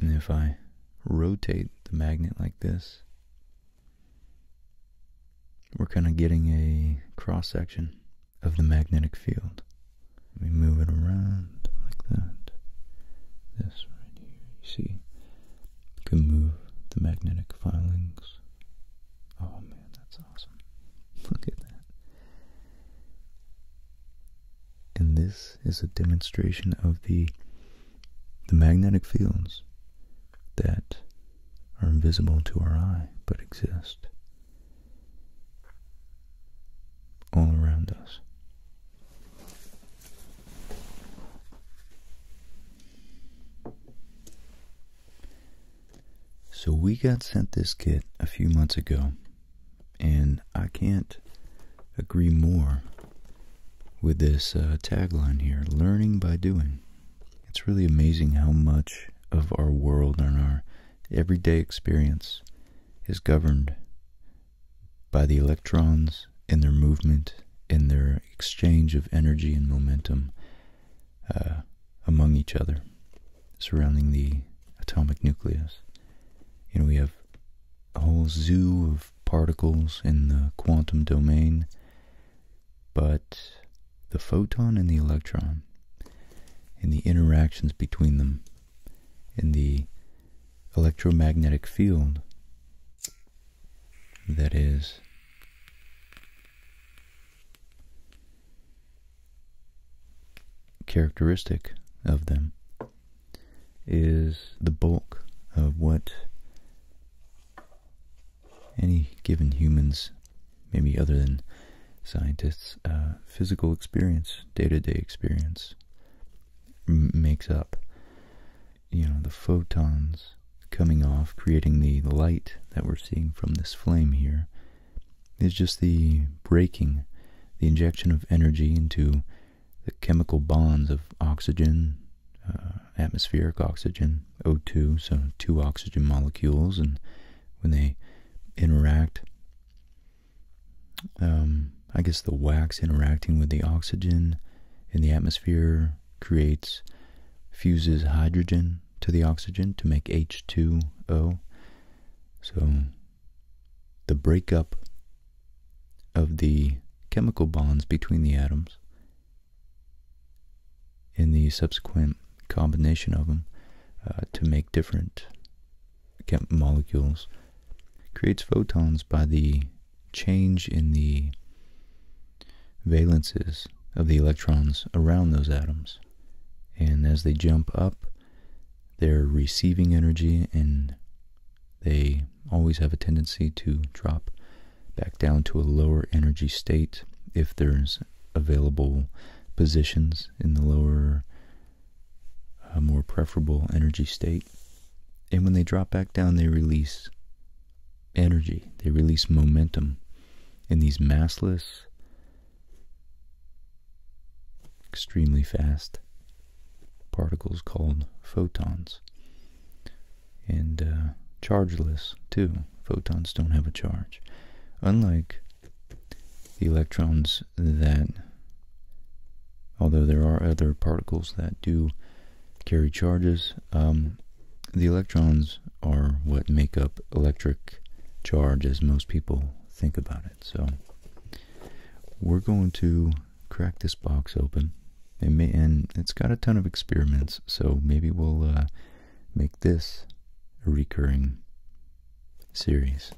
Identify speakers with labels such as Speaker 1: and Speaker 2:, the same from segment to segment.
Speaker 1: And if I rotate the magnet like this, we're kind of getting a cross section of the magnetic field. Let me move it around like that. This right here, you see, can move the magnetic filings. Oh man, that's awesome. Look at that. And this is a demonstration of the the magnetic fields that are invisible to our eye but exist all around us. So we got sent this kit a few months ago and I can't agree more with this uh, tagline here learning by doing. It's really amazing how much of our world and our everyday experience is governed by the electrons in their movement in their exchange of energy and momentum. Uh, among each other surrounding the atomic nucleus. You know, we have a whole zoo of particles in the quantum domain, but the photon and the electron and the interactions between them in the electromagnetic field that is characteristic of them is the bulk of what any given humans, maybe other than scientists, uh, physical experience, day to -day experience makes up. You know, the photons coming off, creating the light that we're seeing from this flame here, is just the breaking, the injection of energy into the chemical bonds of oxygen, uh, atmospheric oxygen, O2, so two oxygen molecules, and when they interact, um, I guess the wax interacting with the oxygen in the atmosphere creates, fuses hydrogen to the oxygen to make H2O. So the breakup of the chemical bonds between the atoms and the subsequent combination of them uh, to make different molecules creates photons by the change in the valences of the electrons around those atoms. And as they jump up, they're receiving energy and they always have a tendency to drop back down to a lower energy state if there's available positions in the lower, uh, more preferable energy state. And when they drop back down, they release energy, they release momentum and these massless extremely fast particles called photons and uh, chargeless too. Photons don't have a charge, unlike the electrons that, although there are other particles that do carry charges, um, the electrons are what make up electric charge as most people think about it. So we're going to crack this box open. and it's got a ton of experiments, so maybe we'll uh, make this a recurring series.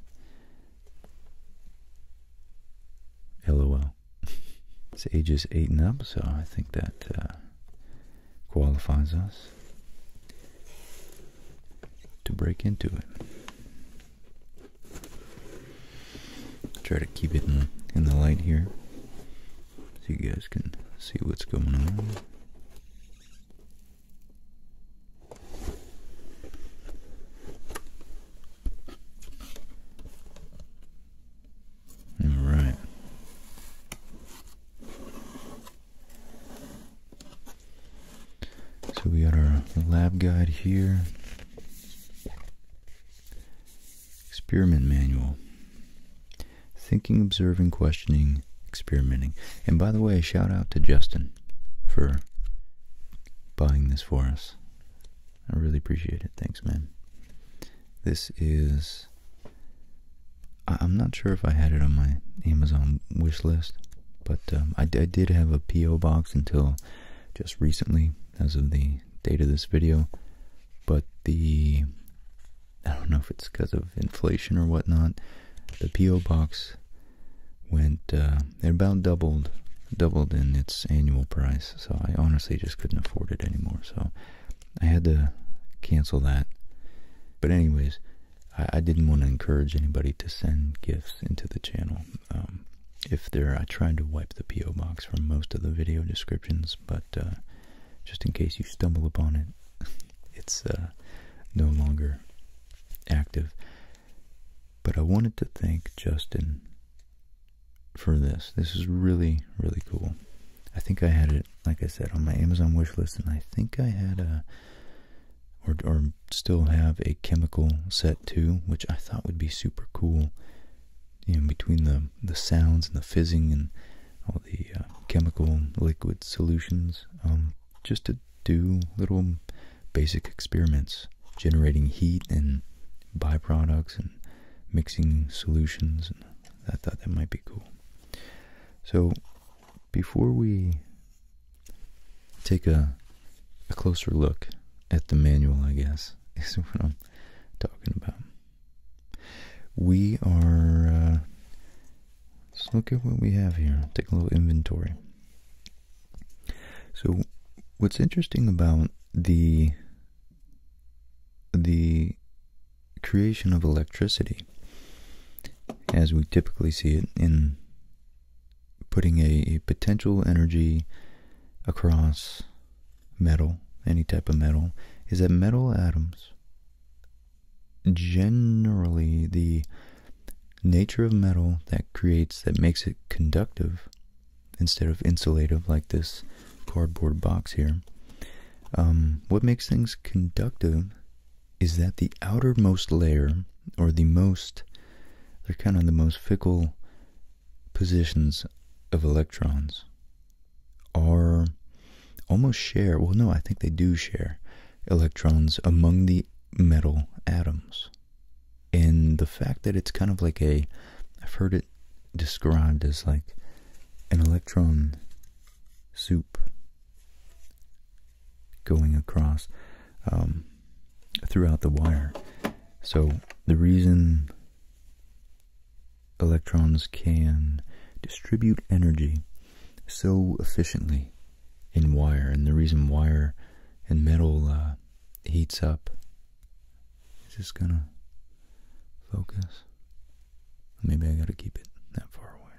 Speaker 1: LOL. It's ages 8 and up, so I think that uh, qualifies us to break into it. Try to keep it in, the light here so you guys can see what's going on. All right. So we got our lab guide here. Experiment manual. Thinking, observing, questioning, experimenting. And by the way, shout out to Justin for buying this for us. I really appreciate it. Thanks, man. This is... I'm not sure if I had it on my Amazon wish list. But um, I, did have a P.O. box until just recently, as of the date of this video. But the, I don't know if it's because of inflation or whatnot, the P.O. box went, uh, it about doubled, doubled in its annual price. So I honestly just couldn't afford it anymore. So I had to cancel that. But anyways, I, didn't want to encourage anybody to send gifts into the channel. Um, if there, I tried to wipe the PO box from most of the video descriptions, but uh, just in case you stumble upon it, it's uh, no longer active. But I wanted to thank Justin for this. This is really, really cool. I think I had it, like I said, on my Amazon wish list, and I think I had a or, still have a chemical set too, which I thought would be super cool. You know, between the, the sounds and the fizzing and all the uh, chemical liquid solutions, um, just to do little basic experiments, generating heat and byproducts and mixing solutions. I thought that might be cool. So before we take a, closer look at the manual, I guess, is what I'm talking about. We are, uh, let's look at what we have here. Take a little inventory. So, what's interesting about the the creation of electricity, as we typically see it in putting a, potential energy across metal, any type of metal, is that metal atoms, generally the nature of metal that creates, that makes it conductive instead of insulative like this cardboard box here, um, what makes things conductive is that the outermost layer, or the most, they're kind of the most fickle positions of electrons, are almost share, well, no, I think they do share electrons among the metal atoms. And the fact that it's kind of like a, I've heard it described as like an electron soup going across um, throughout the wire. So the reason electrons can distribute energy so efficiently in wire, and the reason wire and metal uh, heats up is just gonna focus? Maybe I gotta keep it that far away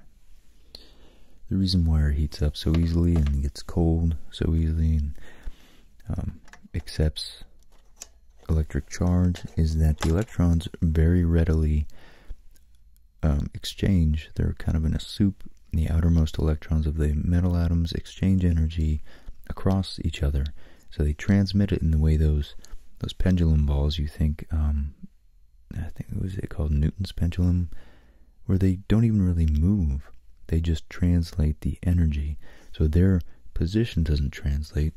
Speaker 1: the reason why it heats up so easily and gets cold so easily and um, accepts electric charge is that the electrons very readily um, exchange. They're kind of in a soup. The outermost electrons of the metal atoms exchange energy across each other. So they transmit it in the way those those pendulum balls you think um, I think what was it called Newton's pendulum where they don't even really move. They just translate the energy. So their position doesn't translate,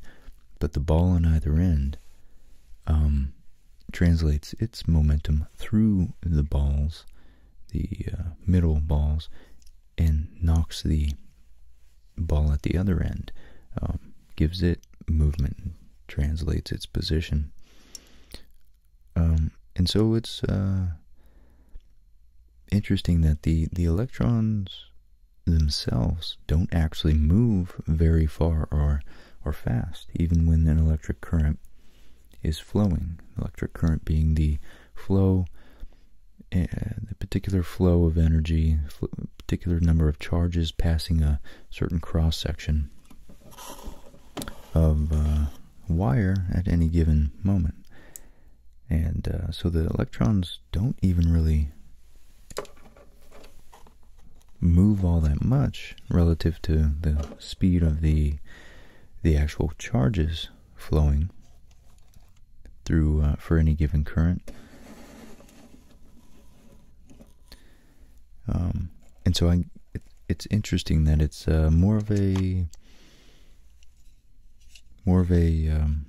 Speaker 1: but the ball on either end um, translates its momentum through the balls, the uh, middle balls, and knocks the ball at the other end, um, gives it movement, translates its position. Um, and so it's uh, interesting that the, the electrons themselves don't actually move very far or, or fast, even when an electric current is flowing. Electric current being the flow, uh, the particular flow of energy, fl particular number of charges passing a certain cross section of uh, wire at any given moment. And uh, so the electrons don't even really move all that much relative to the speed of the the actual charges flowing through uh, for any given current. Um, and so I, it's interesting that it's uh, more of a more of um,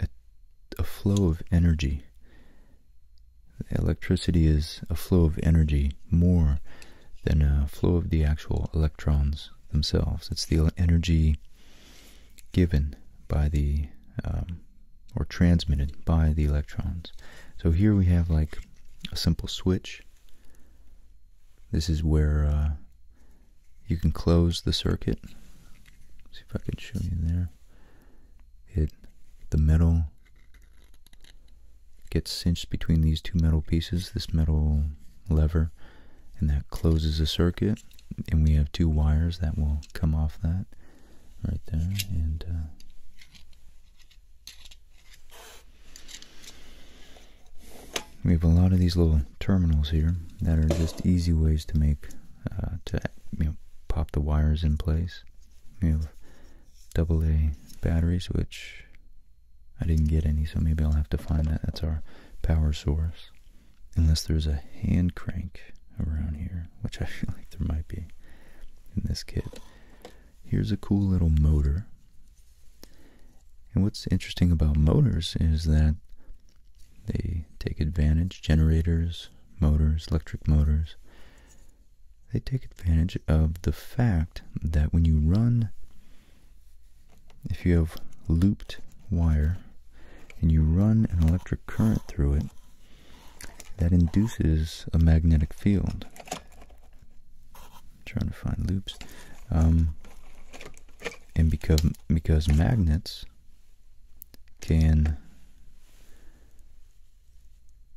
Speaker 1: a, a flow of energy. Electricity is a flow of energy more than a flow of the actual electrons themselves. It's the energy given by the um, or transmitted by the electrons. So here we have like a simple switch this is where uh, you can close the circuit. see if I can show you there. It the metal gets cinched between these two metal pieces, this metal lever, and that closes the circuit. And we have two wires that will come off that right there, and uh, we have a lot of these little terminals here that are just easy ways to make, uh, to pop the wires in place. We have AA batteries, which I didn't get any, so maybe I'll have to find that. That's our power source. Unless there's a hand crank around here, which I feel like there might be in this kit. Here's a cool little motor. And what's interesting about motors is that they take advantage, generators, motors, electric motors, they take advantage of the fact that when you run, if you have looped wire and you run an electric current through it, that induces a magnetic field trying to find loops um, and because because magnets can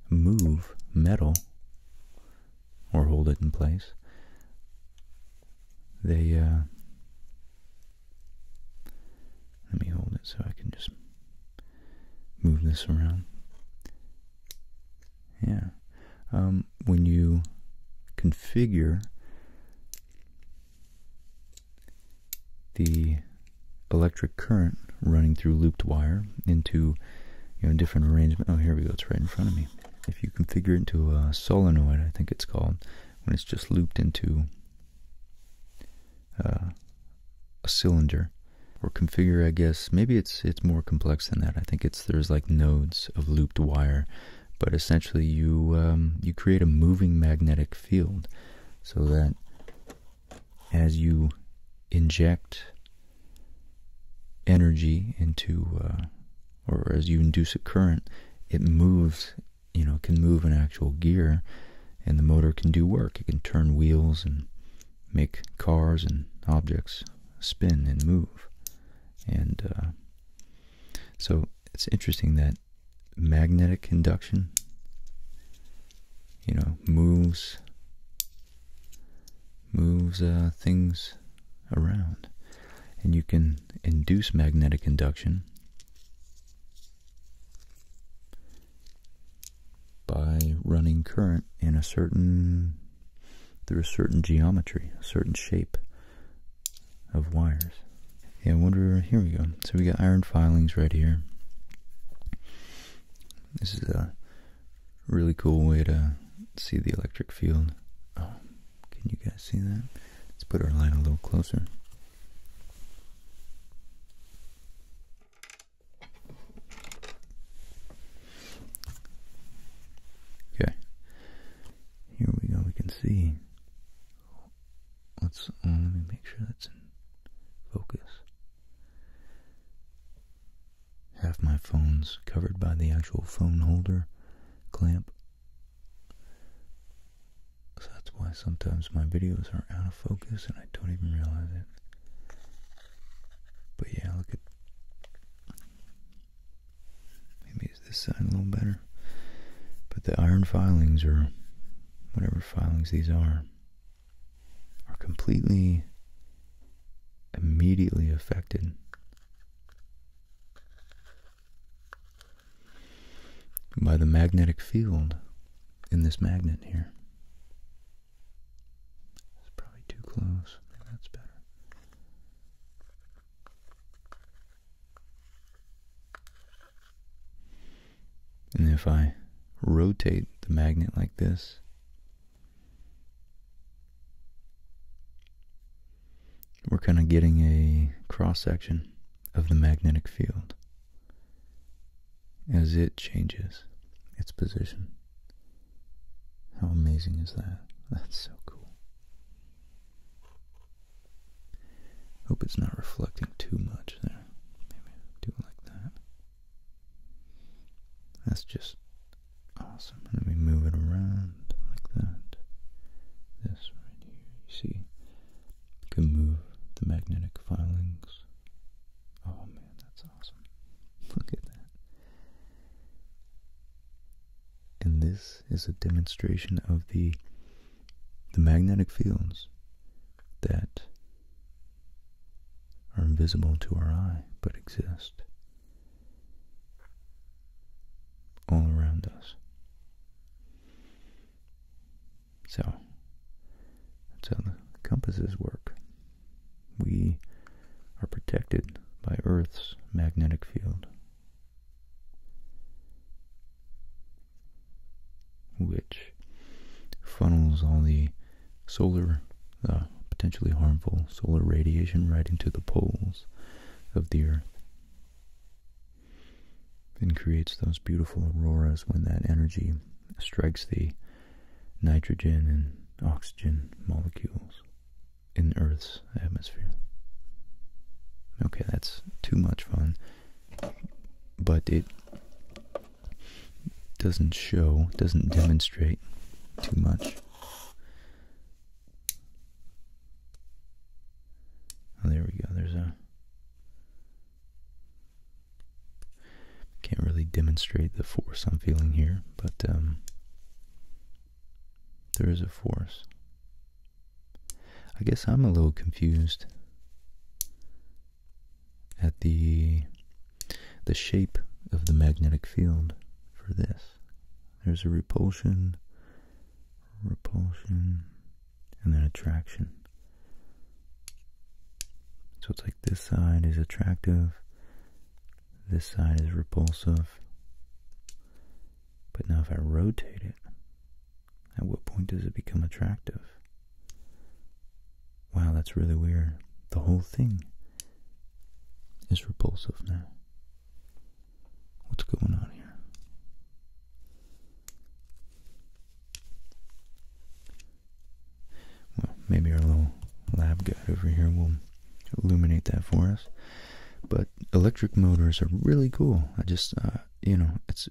Speaker 1: move metal or hold it in place they uh, let me hold it so I can just move this around yeah. Um, when you configure the electric current running through looped wire into you know different arrangement. Oh, here we go. It's right in front of me. If you configure it into a solenoid, I think it's called, when it's just looped into uh, a cylinder, or configure I guess maybe it's it's more complex than that I think it's there's like nodes of looped wire but essentially you um, you create a moving magnetic field so that as you inject energy into uh, or as you induce a current it moves you know can move an actual gear and the motor can do work it can turn wheels and make cars and objects spin and move. And uh, so it's interesting that magnetic induction, you know, moves moves uh, things around. And you can induce magnetic induction by running current in a certain through a certain geometry, a certain shape of wires. Yeah, wonder, here we go. So we got iron filings right here. This is a really cool way to see the electric field. Oh, can you guys see that? Let's put our light a little closer. Okay. Here we go. We can see. Let's uh, let me make sure that's in focus. Half my phone's covered by the actual phone holder clamp. So that's why sometimes my videos are out of focus and I don't even realize it. But yeah, look at Maybe it's this side a little better. But the iron filings, or whatever filings these are, are completely immediately affected by the magnetic field in this magnet here. It's probably too close. that's better. And if I rotate the magnet like this, we're kind of getting a cross section of the magnetic field as it changes its position. How amazing is that? That's so cool. Hope it's not reflecting too much there. Maybe do it like that. That's just awesome. Let me move it around like that. This right here, you see? You can move the magnetic filings. Oh man, that's awesome. Look at that. And this is a demonstration of the the magnetic fields that are invisible to our eye but exist all around us. So that's how the compasses work we are protected by Earth's magnetic field, which funnels all the uh, potentially harmful solar radiation right into the poles of the Earth and creates those beautiful auroras when that energy strikes the nitrogen and oxygen molecules in Earth's atmosphere. Okay, that's too much fun, but it doesn't show, doesn't demonstrate too much. Oh, there we go. There's a. Can't really demonstrate the force I'm feeling here, but um, there is a force. I guess I'm a little confused at the the shape of the magnetic field for this. There's a repulsion, repulsion, and then attraction. So it's like this side is attractive, this side is repulsive. But now if I rotate it, at what point does it become attractive? Wow, that's really weird. The whole thing is repulsive now. What's going on here? Well, maybe our little lab guy over here will illuminate that for us. But electric motors are really cool. I just, uh, you know, it's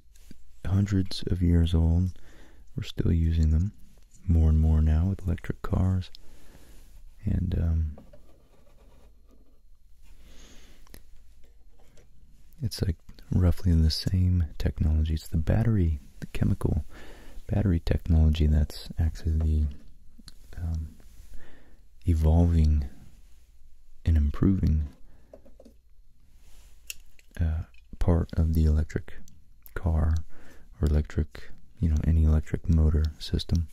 Speaker 1: hundreds of years old. We're still using them more and more now with electric cars. And, um, it's like roughly the same technology. It's the battery, the chemical battery technology that's actually the um, evolving and improving uh, part of the electric car or electric, you know, any electric motor system.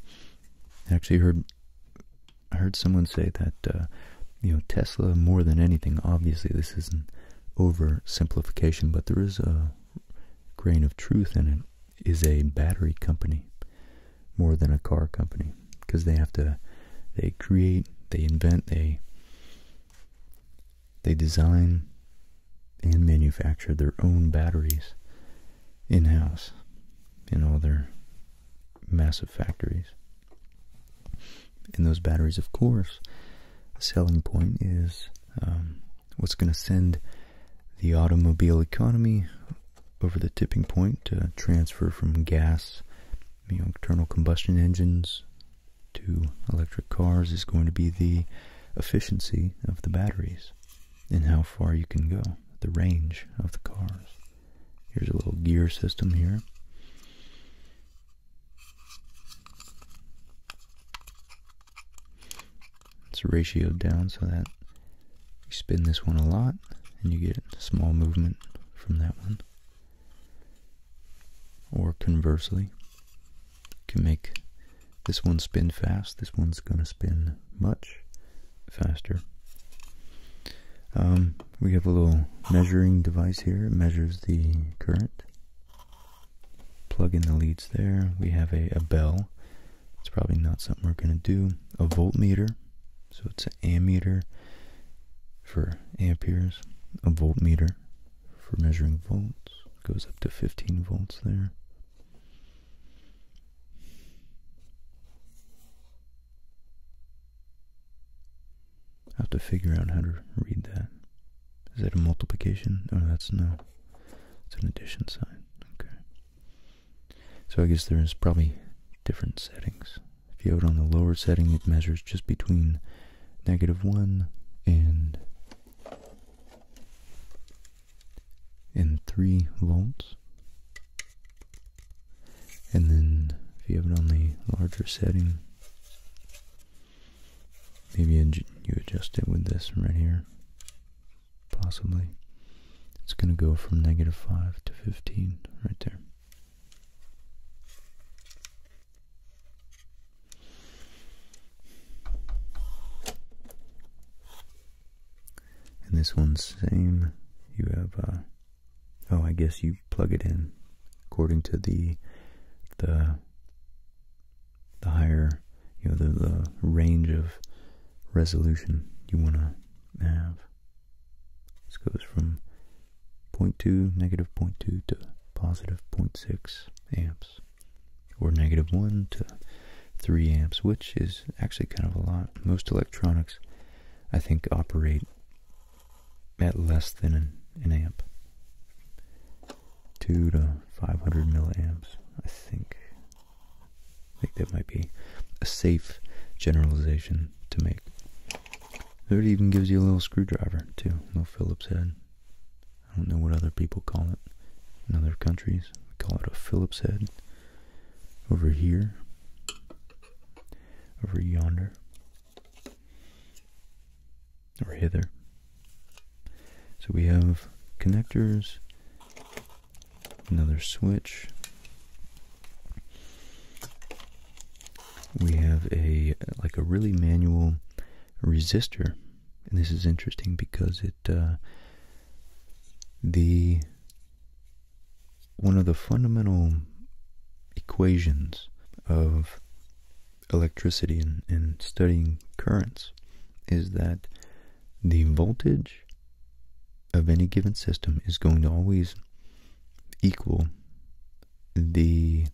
Speaker 1: I actually heard I heard someone say that uh, you know Tesla more than anything. Obviously, this is an oversimplification, but there is a grain of truth in it is a battery company more than a car company because they have to they create they invent they they design and manufacture their own batteries in-house in all their massive factories and those batteries of course the selling point is um, what's going to send the automobile economy over the tipping point to uh, transfer from gas, you know, internal combustion engines to electric cars is going to be the efficiency of the batteries and how far you can go, the range of the cars. Here's a little gear system here. It's ratioed down so that you spin this one a lot and you get small movement from that one. Or conversely, you can make this one spin fast, this one's going to spin much faster. Um, we have a little measuring device here. It measures the current. Plug in the leads there. We have a bell it's probably not something we're going to do. A voltmeter, so it's an ammeter for amperes. A voltmeter for measuring volts. Goes up to 15 volts there. I have to figure out how to read that. Is that a multiplication? Oh, that's no. It's an addition sign. Okay. So I guess there's probably different settings. If you have it on the lower setting, it measures just between negative 1 and, and 3 volts. And then if you have it on the larger setting, maybe you adjust it with this right here possibly. It's going to go from negative 5 to 15 right there. And this one's same. You have, uh, oh, I guess you plug it in according to the the the higher you know the, range of resolution you want to have. This goes from 0.2, negative 0.2 to positive 0.6 amps, or negative 1 to 3 amps, which is actually kind of a lot. Most electronics, I think, operate at less than an, an amp. 2 to 500 milliamps, I think. I think that might be a safe generalization to make. It even gives you a little screwdriver, too, little Phillips head. I don't know what other people call it in other countries. We call it a Phillips head. Over here. Over yonder. Or hither. So we have connectors Another switch. We have a like a really manual resistor, and this is interesting because it uh, the one of the fundamental equations of electricity and, and studying currents is that the voltage of any given system is going to always equal the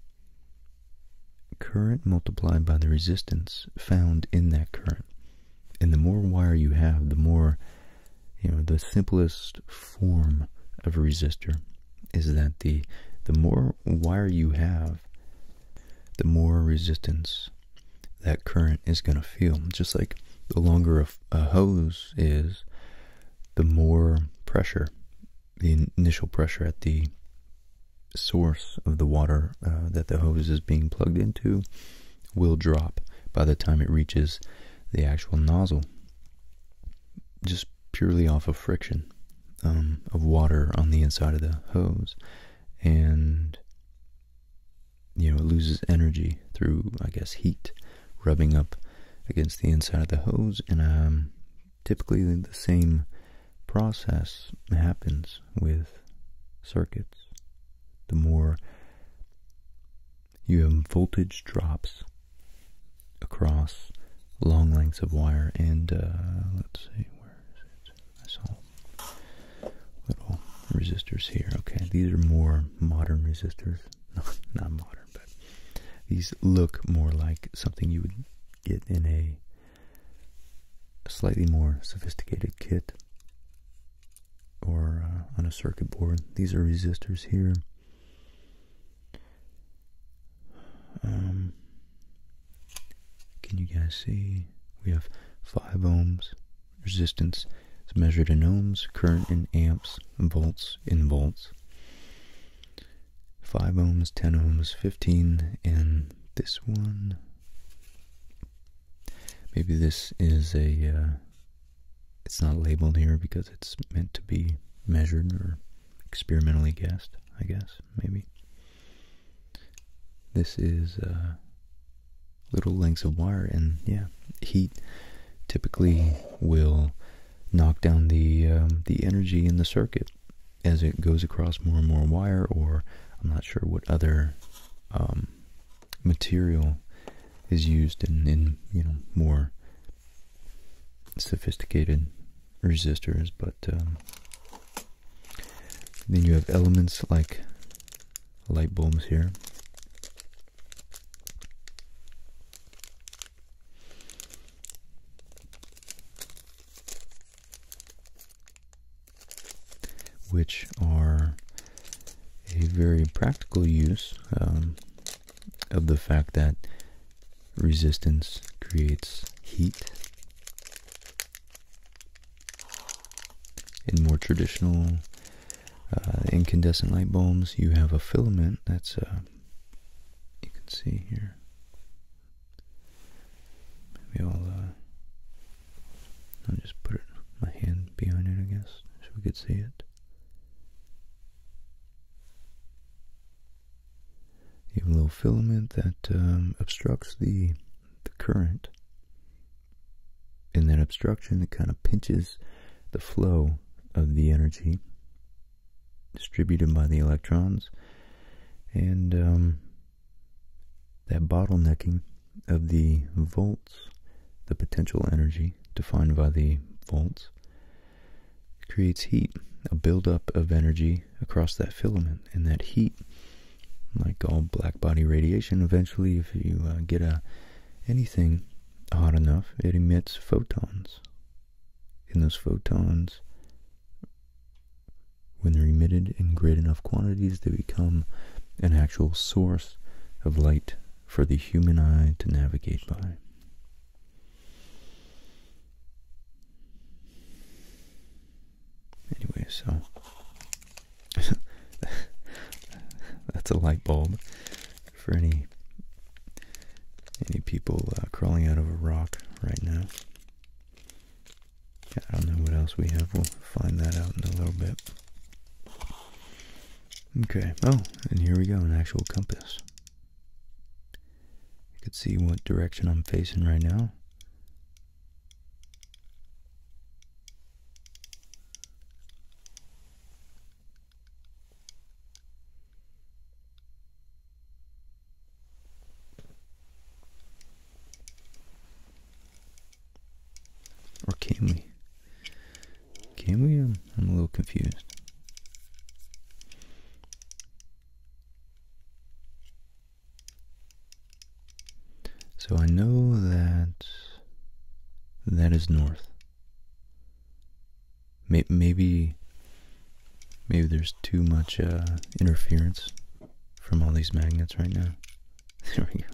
Speaker 1: current multiplied by the resistance found in that current. And the more wire you have, the more, you know, the simplest form of resistor is that the, the more wire you have, the more resistance that current is going to feel. Just like the longer a, hose is, the more pressure, the initial pressure at the source of the water uh, that the hose is being plugged into will drop by the time it reaches the actual nozzle just purely off of friction um, of water on the inside of the hose and you know, it loses energy through, I guess, heat rubbing up against the inside of the hose. And um, typically the same process happens with circuits. The more you have voltage drops across long lengths of wire and uh, let's see where is little resistors here. Okay, these are more modern resistors. Not modern, but these look more like something you would get in a slightly more sophisticated kit or uh, on a circuit board. These are resistors here. Um, can you guys see? We have 5 ohms, resistance is measured in ohms, current in amps, volts in volts. 5 ohms, 10 ohms, 15, and this one. Maybe this is a, uh, it's not labeled here because it's meant to be measured or experimentally guessed, I guess, maybe. This is uh, little lengths of wire and yeah heat typically will knock down the um, the energy in the circuit as it goes across more and more wire or I'm not sure what other um, material is used in, in you know more sophisticated resistors but um, then you have elements like light bulbs here. Which are a very practical use um, of the fact that resistance creates heat in more traditional uh, incandescent light bulbs, you have a filament that's, uh, you can see here. Maybe I'll, uh, I'll just put my hand behind it, I guess, so we could see it. You have a little filament that um, obstructs the, the current and that obstruction that kind of pinches the flow of the energy distributed by the electrons and um, that bottlenecking of the volts the potential energy defined by the volts creates heat a buildup of energy across that filament and that heat like all black body radiation, eventually, if you uh, get a uh, anything hot enough, it emits photons. And those photons, when they're emitted in great enough quantities, they become an actual source of light for the human eye to navigate by. Anyway, so That's a light bulb for any any people uh, crawling out of a rock right now. I don't know what else we have. We'll find that out in a little bit. Okay. Oh, and here we go, an actual compass. You can see what direction I'm facing right now. Or can we? Can we? I'm a little confused. So I know that that is north. Maybe, maybe there's too much uh, interference from all these magnets right now. There we go.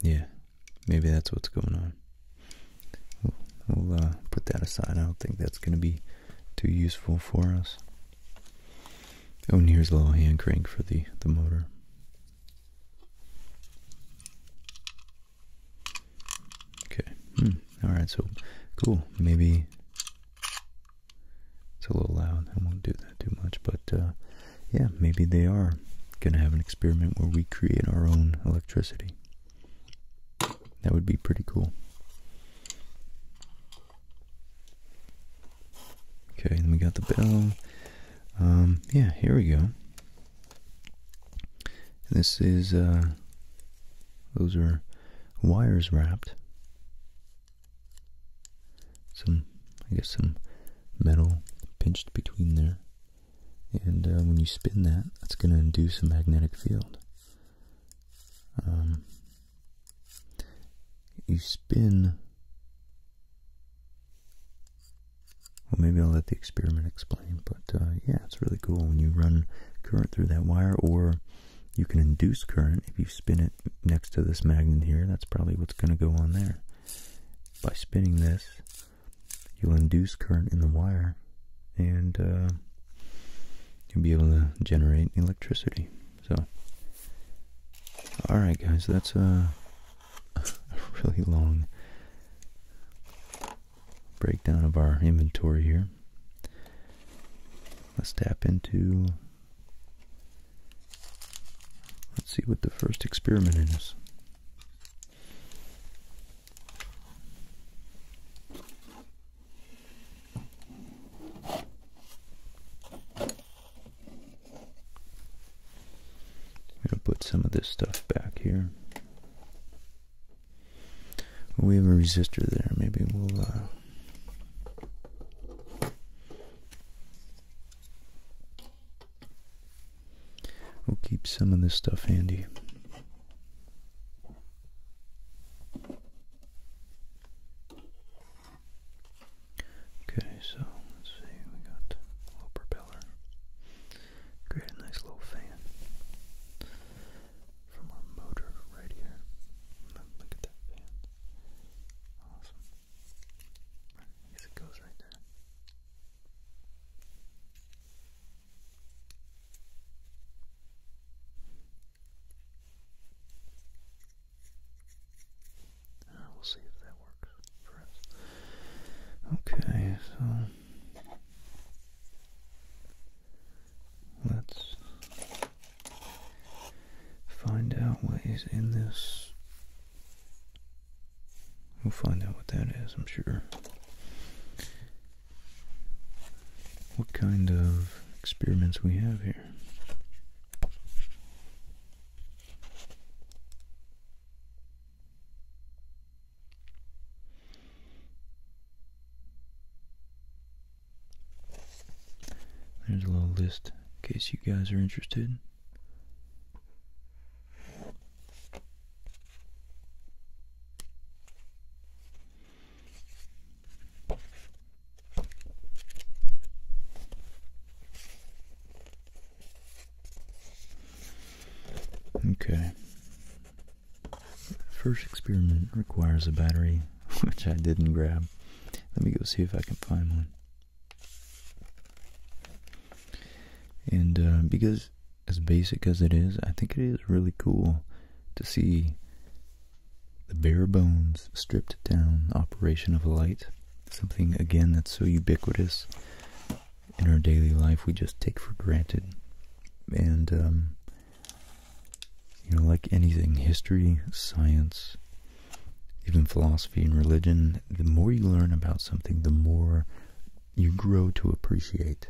Speaker 1: Yeah, maybe that's what's going on. We'll uh, put that aside. I don't think that's going to be too useful for us. Oh, and here's a little hand crank for the, the motor. Okay. Hmm. All right. So, cool. Maybe it's a little loud. I won't do that too much. But, uh, yeah, maybe they are going to have an experiment where we create our own electricity. That would be pretty cool. Okay, then we got the bell. Um, yeah, here we go. This is, uh, those are wires wrapped. Some, I guess, some metal pinched between there. And uh, when you spin that, that's going to induce a magnetic field. Um, you spin. Well, maybe I'll let the experiment explain, but uh, yeah, it's really cool when you run current through that wire, or you can induce current if you spin it next to this magnet here. That's probably what's going to go on there. By spinning this, you'll induce current in the wire and uh, you'll be able to generate electricity. So, alright, guys, that's a really long breakdown of our inventory here. Let's tap into. Let's see what the first experiment is i gonna put some of this stuff back here. we have a resistor there. Maybe we'll uh, We'll keep some of this stuff handy. Okay, so let's see, we got little propeller. Create a nice little fan from our motor right here. Look at that fan. Awesome. I guess it goes right there. Uh, we'll see if that works for us. Okay, so let's find out what is in this. We'll find out what that is, I'm sure what kind of experiments we have here. There's a little list in case you guys are interested. Okay. First experiment requires a battery, which I didn't grab. Let me go see if I can find one. And uh, because as basic as it is, I think it is really cool to see the bare bones, stripped down operation of light. Something, again, that's so ubiquitous in our daily life, we just take for granted. And, um, you know, like anything, history, science, even philosophy and religion, the more you learn about something, the more you grow to appreciate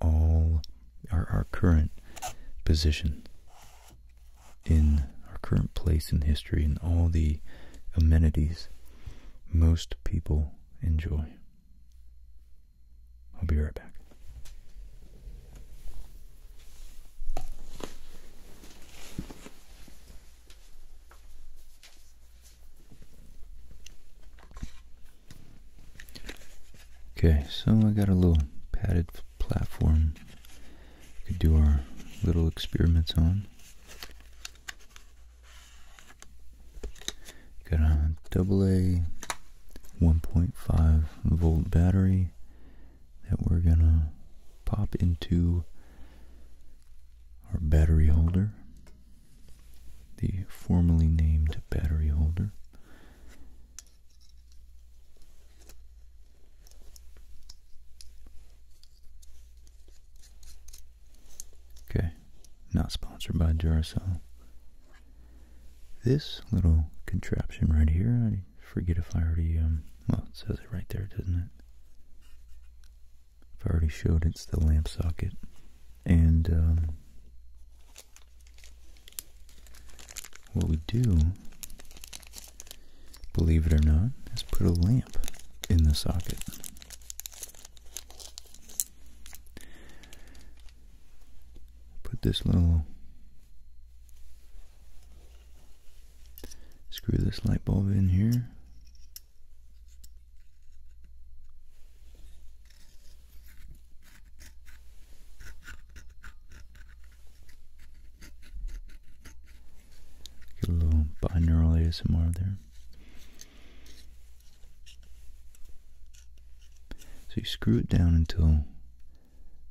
Speaker 1: all our, our current position in our current place in history and all the amenities most people enjoy. I'll be right back. Okay, so I got a little padded platform we could do our little experiments on. Got a double 1.5 volt battery that we're gonna pop into our battery holder the formerly named battery holder. Okay, not sponsored by Duracell. This little contraption right here, I forget if I already, um, well, it says it right there, doesn't it? I've already showed it's the lamp socket. And, um, what we do, believe it or not, is put a lamp in the socket. Put this little, screw this light bulb in here. Get a little binaural ASMR there. So you screw it down until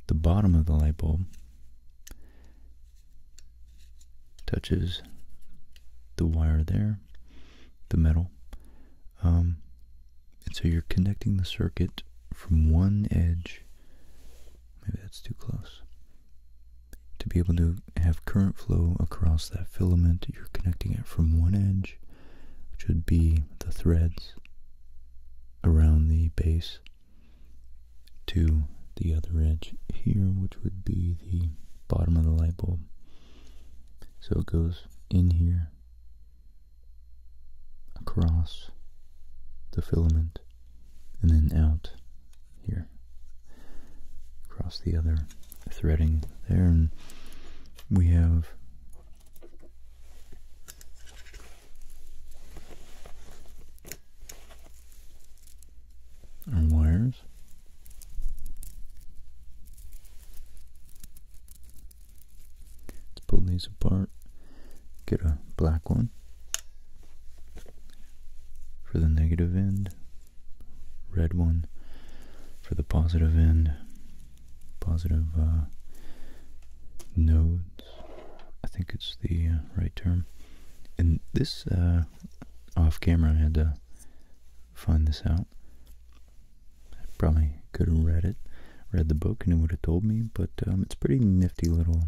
Speaker 1: the bottom of the light bulb touches the wire there, the metal. Um, and so you're connecting the circuit from one edge, maybe that's too close, to be able to have current flow across that filament, you're connecting it from one edge, which would be the threads around the base, to the other edge here, which would be the bottom of the light bulb. So it goes in here across the filament and then out here across the other threading there and we have our wires Let's pull these apart. Get a black one for the negative end, red one for the positive end, positive uh, nodes. I think it's the uh, right term. And this uh, off camera, I had to find this out. I probably could have read it, read the book, and it would have told me. But um, it's pretty nifty little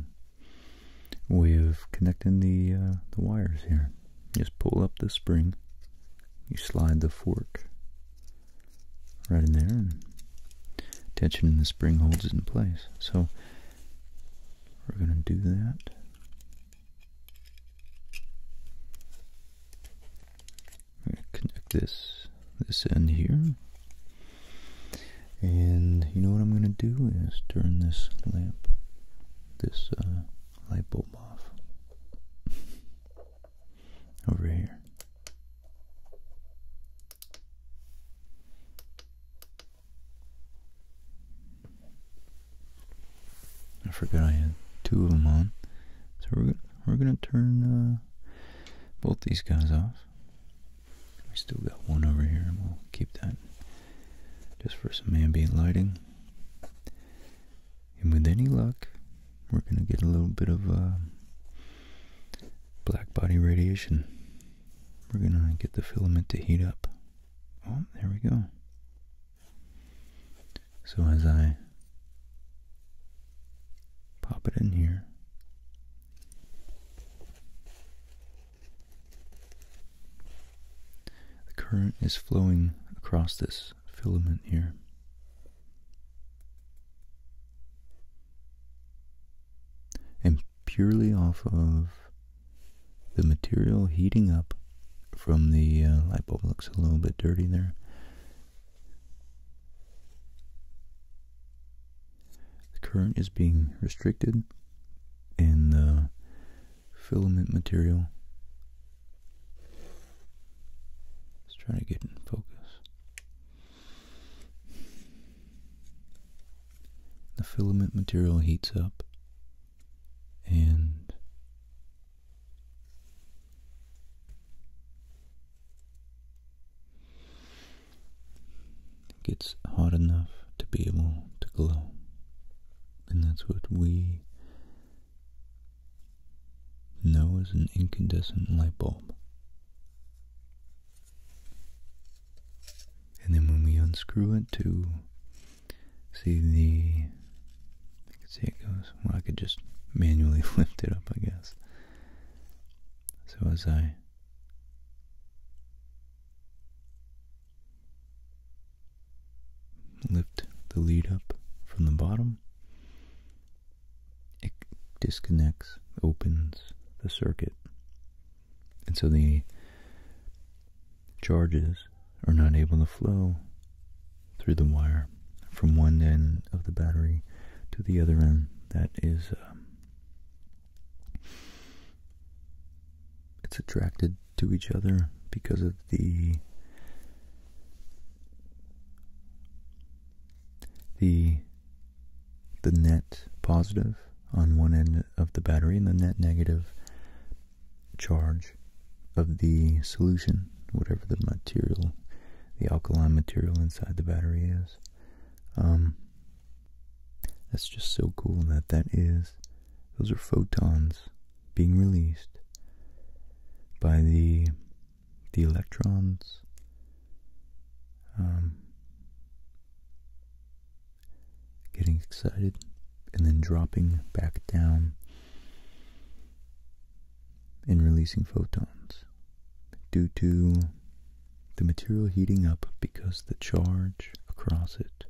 Speaker 1: way of connecting the uh, the wires here. just pull up the spring, you slide the fork right in there, and tension in the spring holds it in place. So we're going to do that connect this this end here. And you know what I'm gonna do is turn this lamp, this uh, light bulb off over here. I forgot I had two of them on, so we're going we're going to turn uh, both these guys off. We still got one over here, and we'll keep that just for some ambient lighting. And with any luck, we're going to get a little bit of uh, black body radiation. We're going to get the filament to heat up. Oh, there we go. So as I pop it in here, the current is flowing across this filament here. And purely off of the material heating up from the uh, light bulb looks a little bit dirty there the current is being restricted, and the filament material. let trying to get in focus. The filament material heats up and it gets hot enough to be able to glow, and that's what we know as an incandescent light bulb. And then when we unscrew it to see the I could see it goes. Well, I could just manually lift it up, I guess. So as I lift the lead up from the bottom, it disconnects, opens the circuit. And so the charges are not able to flow through the wire from one end of the battery to the other end. That is, um, it's attracted to each other because of the the the net positive on one end of the battery and the net negative charge of the solution whatever the material, the alkaline material inside the battery is. Um, that's just so cool that that is, those are photons being released by the, the electrons, um, getting excited and then dropping back down and releasing photons due to the material heating up because the charge across it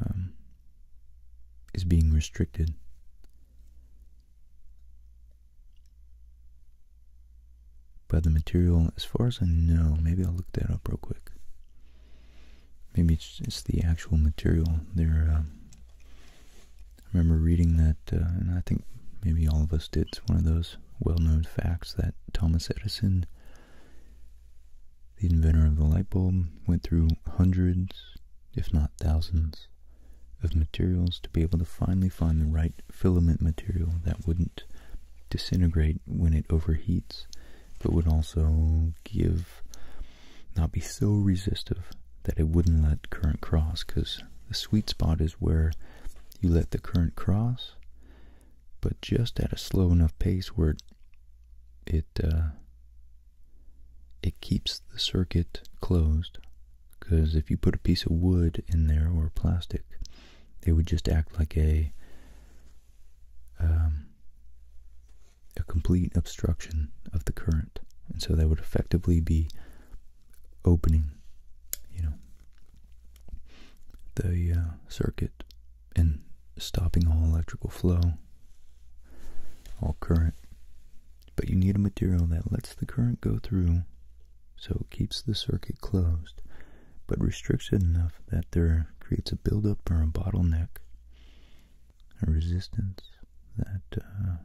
Speaker 1: um, is being restricted. By the material, as far as I know, maybe I'll look that up real quick. Maybe it's, it's the actual material there. Um, I remember reading that, uh, and I think maybe all of us did. It's one of those well-known facts that Thomas Edison, the inventor of the light bulb, went through hundreds, if not thousands, of materials to be able to finally find the right filament material that wouldn't disintegrate when it overheats, but would also give not be so resistive that it wouldn't let current cross because the sweet spot is where you let the current cross but just at a slow enough pace where it uh, it, keeps the circuit closed because if you put a piece of wood in there or plastic they would just act like a um, a complete obstruction of the current and so they would effectively be opening, you know, the uh, circuit and stopping all electrical flow, all current. But you need a material that lets the current go through so it keeps the circuit closed, but restricts it enough that there creates a buildup or a bottleneck a resistance that uh,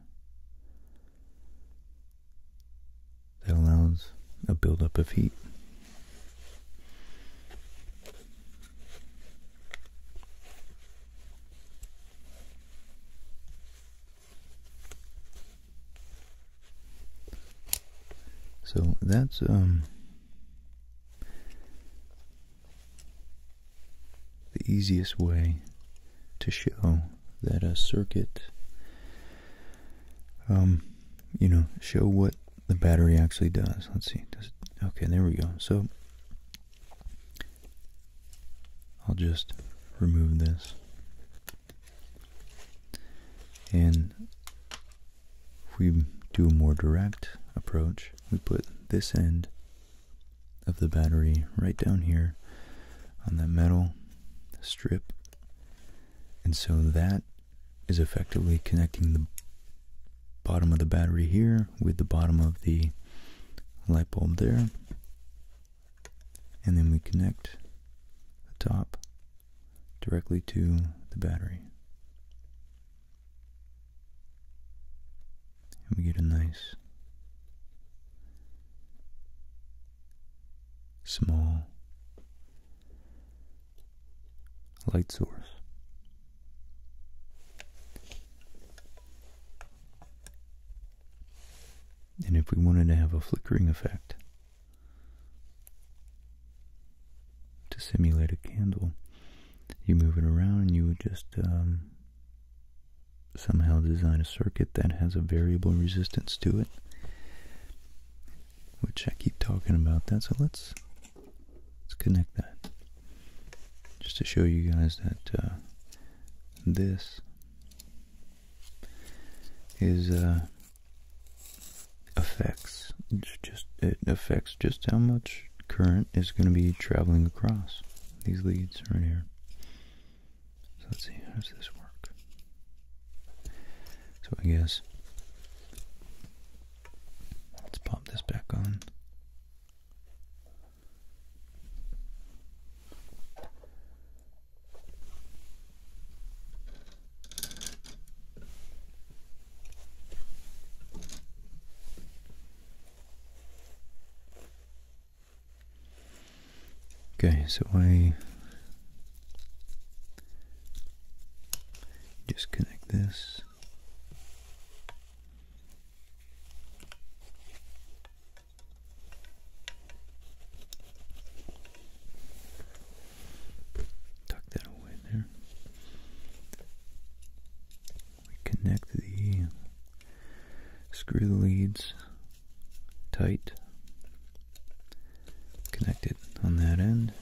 Speaker 1: that allows a buildup of heat. So that's um the easiest way to show that a circuit, um, you know, show what the battery actually does. Let's see. okay, there we go. So I'll just remove this. And if we do a more direct approach, we put this end of the battery right down here on that metal strip. And so that is effectively connecting the bottom of the battery here with the bottom of the light bulb there. And then we connect the top directly to the battery and we get a nice small light source. And if we wanted to have a flickering effect to simulate a candle, you move it around and you would just um, somehow design a circuit that has a variable resistance to it, which I keep talking about that. So let's let's connect that just to show you guys that uh, this is uh, affects just it affects just how much current is going to be traveling across these leads right here. So let's see, how does this work? So I guess let's pop this back on. Okay, so I just connect this. Tuck that away there. connect the screw leads tight, connect it on that end,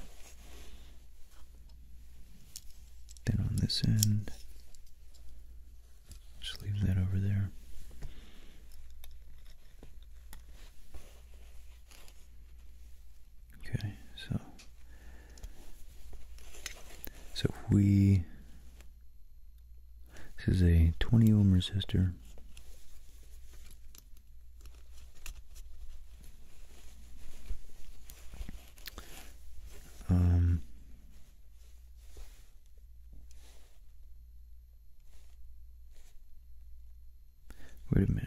Speaker 1: then on this end, just leave that over there. Okay, so so we this is a 20 ohm resistor. Um, wait a minute.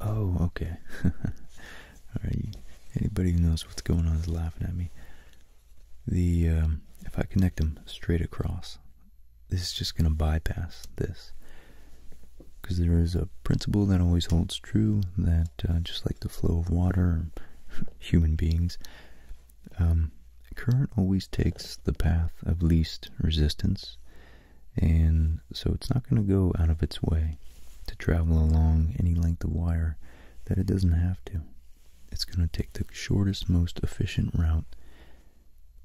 Speaker 1: Oh, okay. All right. Anybody who knows what's going on is laughing at me the um, if I connect them straight across, this is just going to bypass this because there is a principle that always holds true that uh, just like the flow of water, human beings, um, current always takes the path of least resistance, and so it's not going to go out of its way to travel along any length of wire that it doesn't have to it's going to take the shortest, most efficient route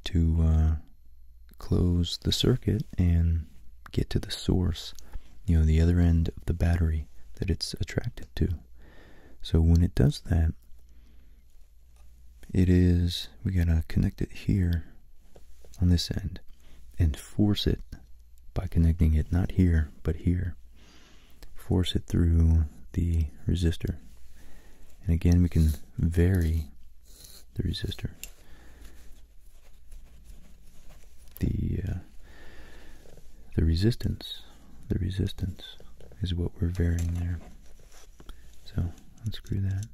Speaker 1: to uh, close the circuit and get to the source, you know, the other end of the battery that it's attracted to. So when it does that, it is, we got to connect it here on this end and force it by connecting it not here, but here force it through the resistor. And again, we can vary the resistor. The uh, the resistance, the resistance is what we're varying there. So unscrew that.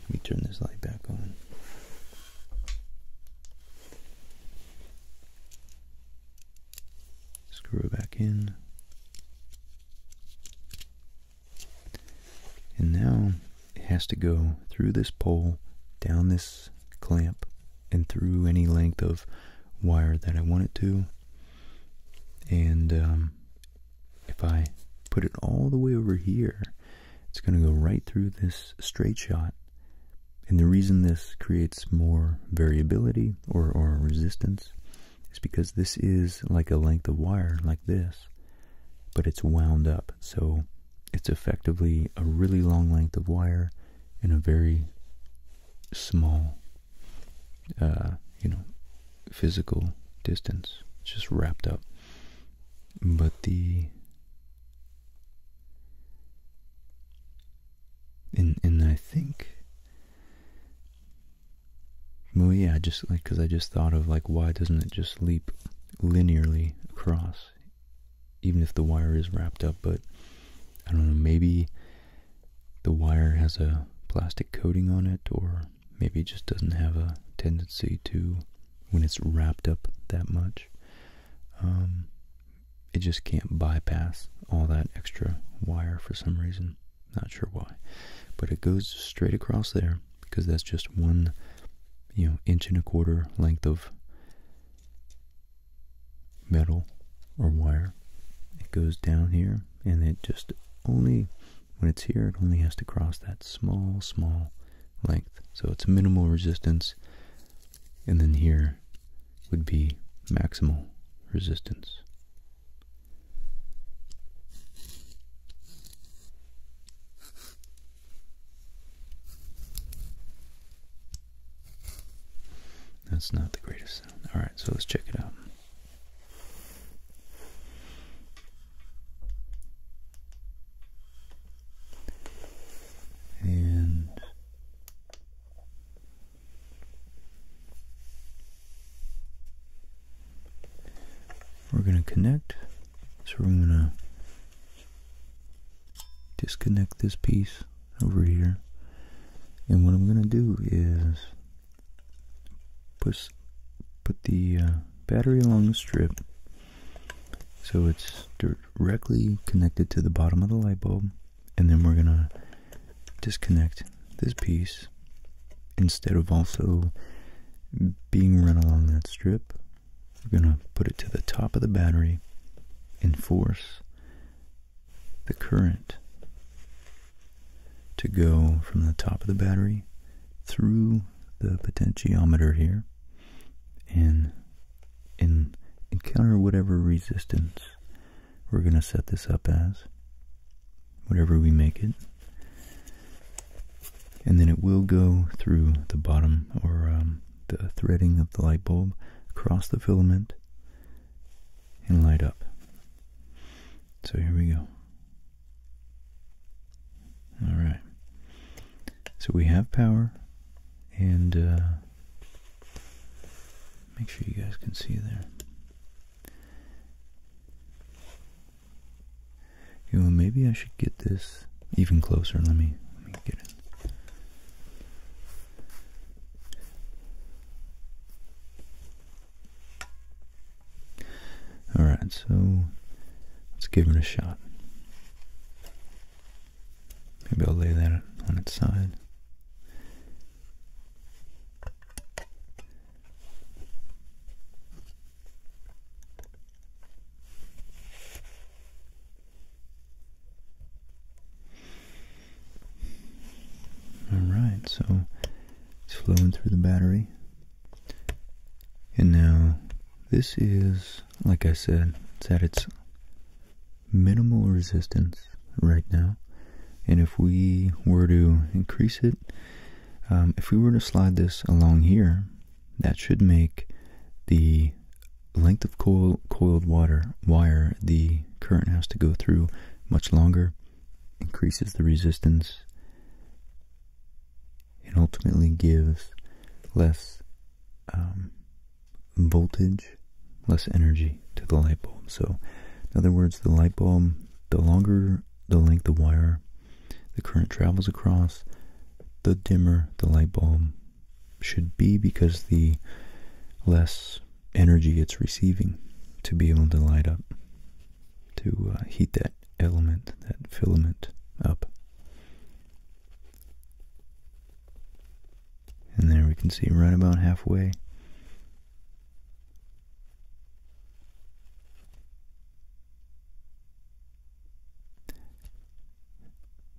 Speaker 1: Let me turn this light back on. Screw it back in. And now it has to go through this pole, down this clamp, and through any length of wire that I want it to. And um, if I put it all the way over here, it's going to go right through this straight shot and the reason this creates more variability or, resistance is because this is like a length of wire like this, but it's wound up. So it's effectively a really long length of wire in a very small, uh, you know, physical distance, it's just wrapped up. But the and and I think, well, yeah, just like because I just thought of like why doesn't it just leap linearly across, even if the wire is wrapped up? But I don't know, maybe the wire has a plastic coating on it, or maybe it just doesn't have a tendency to when it's wrapped up that much. Um, it just can't bypass all that extra wire for some reason. Not sure why, but it goes straight across there because that's just one, you know, inch and a quarter length of metal or wire. It goes down here, and it just only when it's here, it only has to cross that small, small length. So it's minimal resistance, and then here would be maximal resistance. That's not the greatest sound. All right, so let's check it out and we're going to connect. So we're going to disconnect this piece over here. And what I'm going to do is put the uh, battery along the strip so it's directly connected to the bottom of the light bulb, and then we're going to disconnect this piece instead of also being run along that strip. We're going to put it to the top of the battery and force the current to go from the top of the battery through the potentiometer here and and encounter whatever resistance we're going to set this up as whatever we make it and then it will go through the bottom or um, the threading of the light bulb across the filament and light up so here we go all right so we have power and uh, make sure you guys can see there. You maybe I should get this even closer. Let me let me get it. Alright, so let's give it a shot. Maybe I'll lay that on its side. Alright, so it's flowing through the battery. And now this is like I said, it's at its minimal resistance right now. And if we were to increase it, um, if we were to slide this along here, that should make the length of coiled water wire the current has to go through much longer, increases the resistance, and ultimately gives less um, voltage, less energy to the light bulb. So, in other words, the light bulb, the longer the length of wire the current travels across, the dimmer the light bulb should be because the less energy it's receiving to be able to light up, to uh, heat that element, that filament up. And there we can see right about halfway.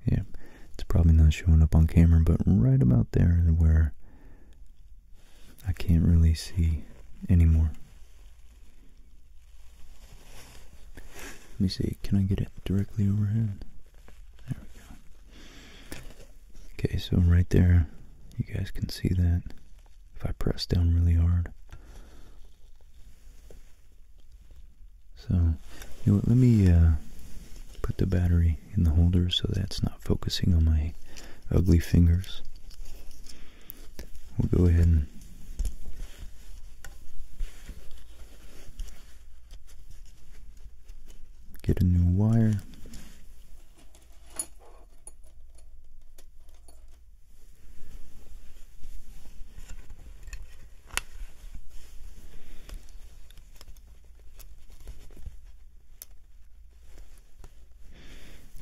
Speaker 1: Yeah, it's probably not showing up on camera, but right about there is where I can't really see anymore. Let me see, can I get it directly overhead? There we go. Okay, so right there, you guys can see that if I press down really hard. So, let me uh, put the battery in the holder so that's not focusing on my ugly fingers. We'll go ahead and Get a new wire.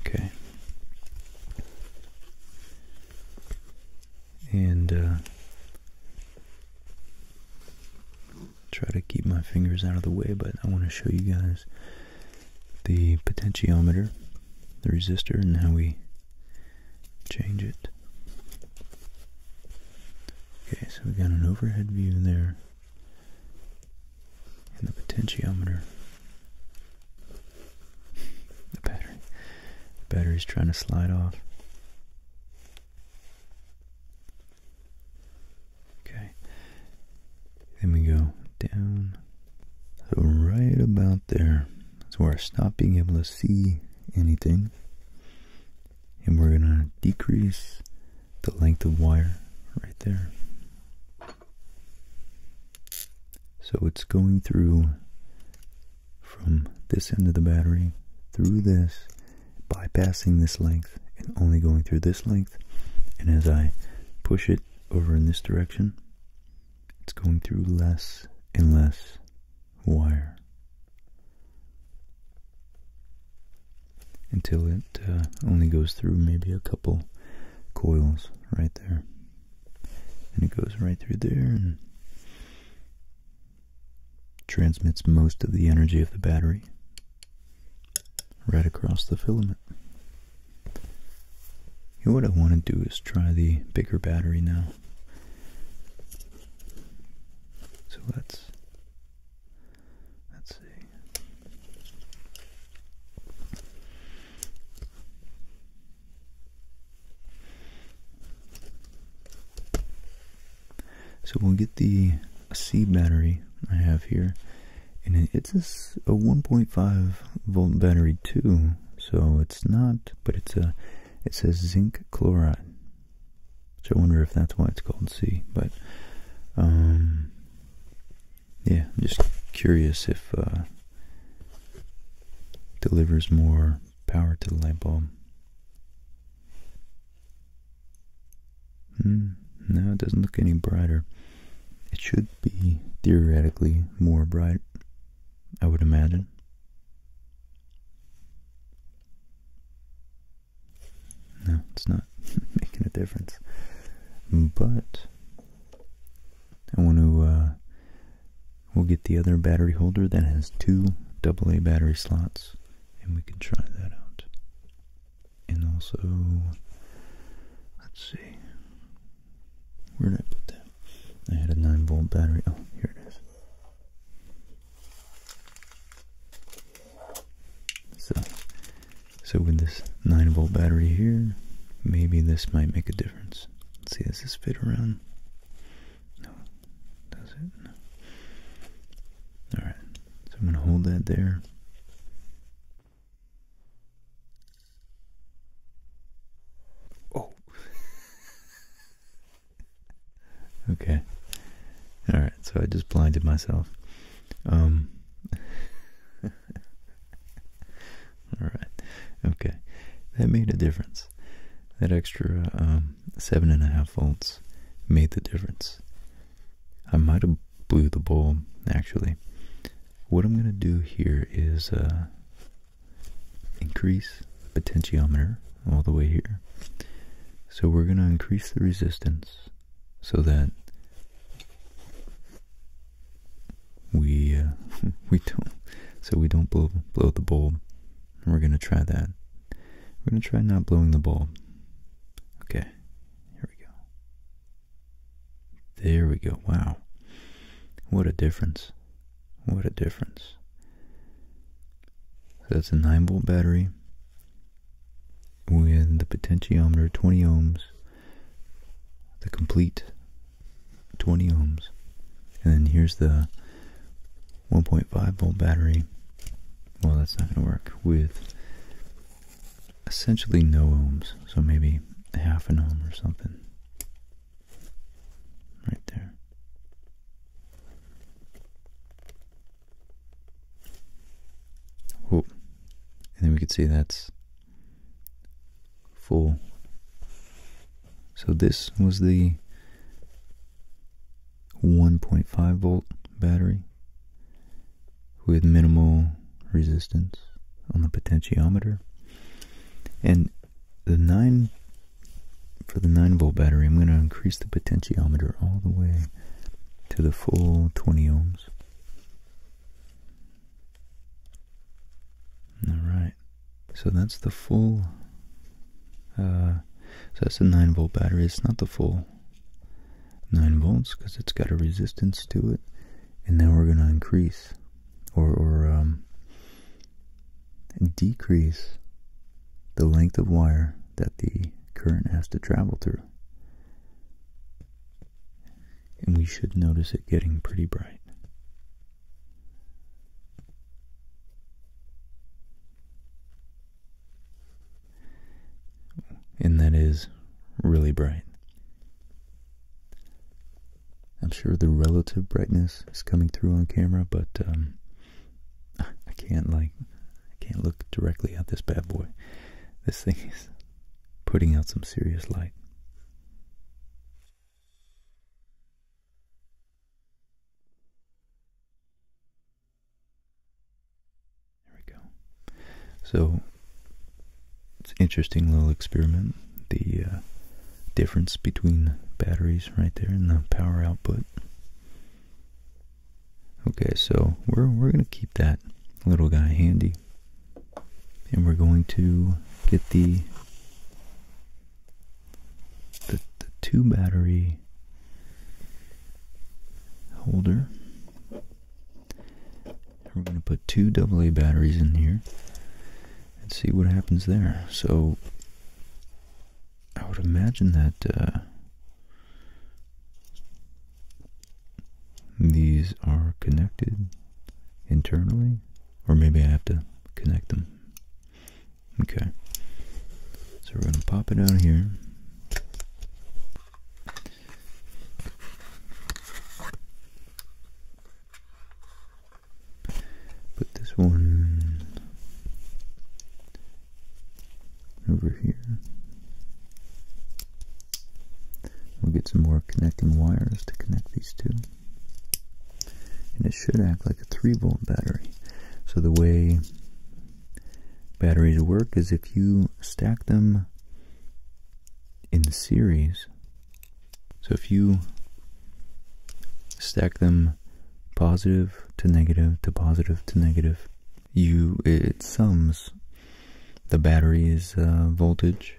Speaker 1: Okay and uh, try to keep my fingers out of the way, but I want to show you guys the potentiometer, the resistor, and how we change it. Okay, so we got an overhead view there, and the potentiometer. The battery, the battery's trying to slide off. Okay. Then we go down. So right about there is where I stop being able to see anything. And we're going to decrease the length of wire right there. So it's going through from this end of the battery through this, bypassing this length and only going through this length. And as I push it over in this direction, it's going through less and less wire until it uh, only goes through maybe a couple coils right there. And it goes right through there transmits most of the energy of the battery right across the filament. Here what I want to do is try the bigger battery now. So let's let's see. So we'll get the C battery I have here, and it's a, 1.5 volt battery too. So it's not, but it's a it says zinc chloride. So I wonder if that's why it's called C. But um, yeah, I'm just curious if uh, delivers more power to the light bulb. Mm, no, it doesn't look any brighter. It should be theoretically more bright, I would imagine. No, it's not making a difference. But I want to uh, We'll get the other battery holder that has two AA battery slots and we can try that out. And also, let's see, where did I put that? I had a 9 volt battery. Oh, here it is. So, so with this 9 volt battery here, maybe this might make a difference. Let's see, does this fit around? No, does it? Alright, so I'm going to hold that there. Oh! okay. Alright, so I just blinded myself. Um. Alright, okay. That made a difference. That extra, um, seven and a half volts made the difference. I might have blew the bulb actually. What I'm gonna do here is uh, increase the potentiometer all the way here. So we're gonna increase the resistance so that we uh, we don't so we don't blow blow the bulb we're going to try that. We're going to try not blowing the ball. Okay, here we go. There we go. Wow. What a difference. What a difference. So that's a 9 volt battery with the potentiometer 20 ohms, the complete 20 ohms. And then here's the 1.5 volt battery, well, that's not going to work with essentially no ohms, so maybe half an ohm or something. Right there. Oh, and then we can see that's full. So this was the 1.5 volt battery with minimal resistance on the potentiometer. And the 9 for the 9 volt battery, I'm going to increase the potentiometer all the way to the full 20 ohms. All right. So that's the full uh, so that's a 9 volt battery. It's not the full 9 volts because it's got a resistance to it. And then we're going to increase or, um, decrease the length of wire that the current has to travel through. And we should notice it getting pretty bright. And that is really bright. I'm sure the relative brightness is coming through on camera, but um, I can't like I can't look directly at this bad boy. This thing is putting out some serious light. There we go. So it's an interesting little experiment. The uh, difference between batteries right there and the power output. Okay, so we're we're gonna keep that little guy handy, and we're going to get the the, two battery holder. We're going to put two AA batteries in here and see what happens there. So I would imagine that uh, these are connected internally, or maybe I have to connect them Okay. So we're gonna pop it out here. Put this one over here. We'll get some more connecting wires to connect these two. And it should act like a 3 volt battery. So the way batteries work is if you stack them in series. So if you stack them positive to negative to positive to negative, you it sums the battery's uh, voltage.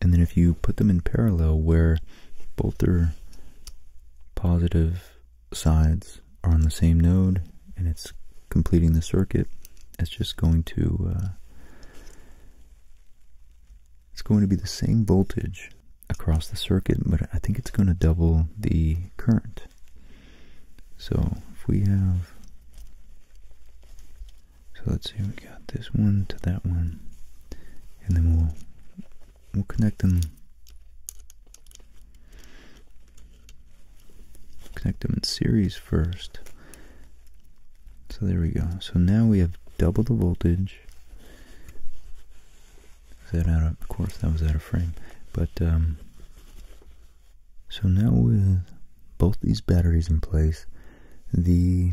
Speaker 1: And then if you put them in parallel where both are positive sides are on the same node and it's completing the circuit, it's just going to uh, it's going to be the same voltage across the circuit, but I think it's going to double the current. So if we have, so let's see, we got this one to that one, and then we'll we'll connect them connect them in series first so there we go so now we have double the voltage that out of, course that was out of frame but um, so now with both these batteries in place the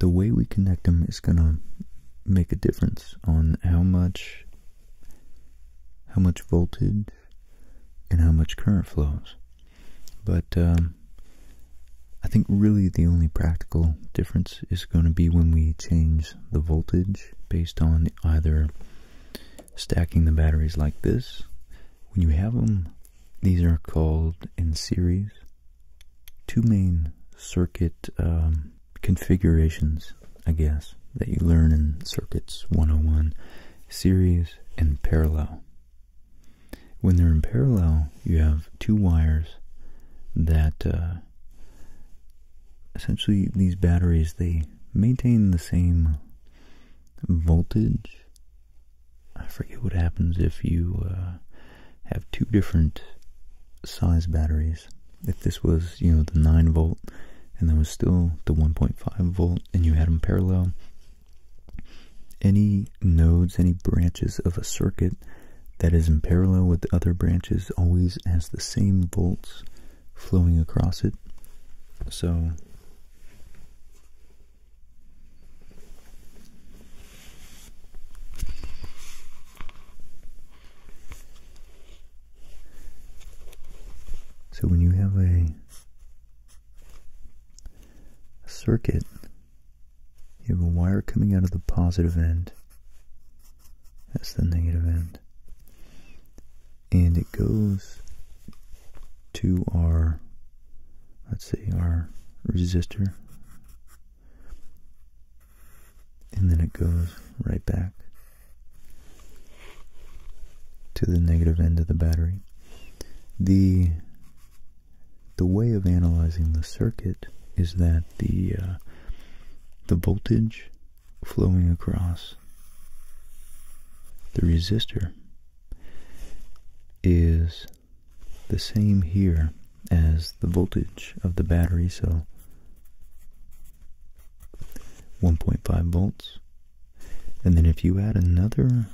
Speaker 1: the way we connect them is going to make a difference on how much how much voltage and how much current flows. But um, I think really the only practical difference is going to be when we change the voltage based on either stacking the batteries like this. When you have them, these are called in series two main circuit um, configurations, I guess, that you learn in Circuits 101 series and parallel. When they're in parallel, you have two wires that uh, essentially these batteries they maintain the same voltage. I forget what happens if you uh, have two different size batteries. If this was, you know, the 9 volt and there was still the 1.5 volt and you had them parallel, any nodes, any branches of a circuit that is in parallel with other branches always has the same volts flowing across it. So so when you have a, circuit, you have a wire coming out of the positive end. That's the negative end. And it goes to our, let's see, our resistor and then it goes right back to the negative end of the battery. The the way of analyzing the circuit is that the uh, the voltage flowing across the resistor is the same here as the voltage of the battery, so 1.5 volts. And then if you add another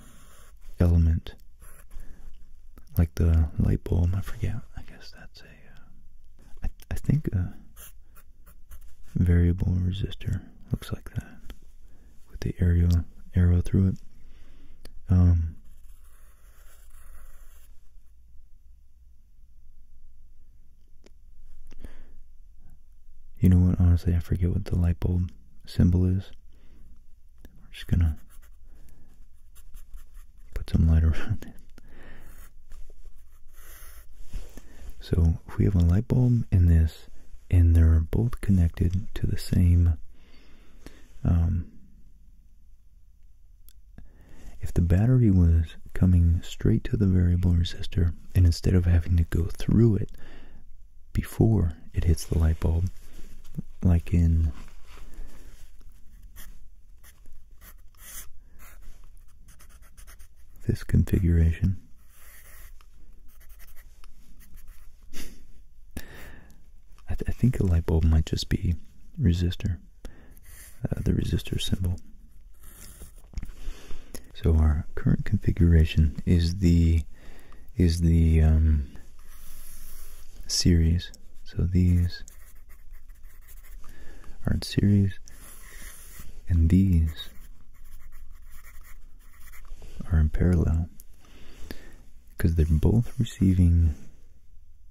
Speaker 1: element, like the light bulb, I forget, I guess that's a, uh, think a variable resistor looks like that with the arrow, arrow through it. Um, you know what? Honestly, I forget what the light bulb symbol is. We're just going to put some light around it. So if we have a light bulb in this, and they're both connected to the same um, if the battery was coming straight to the variable resistor, and instead of having to go through it before it hits the light bulb, like in this configuration, I, think a light bulb might just be resistor uh, the resistor symbol. So our current configuration is the is the um, series. So these are in series, and these are in parallel because they're both receiving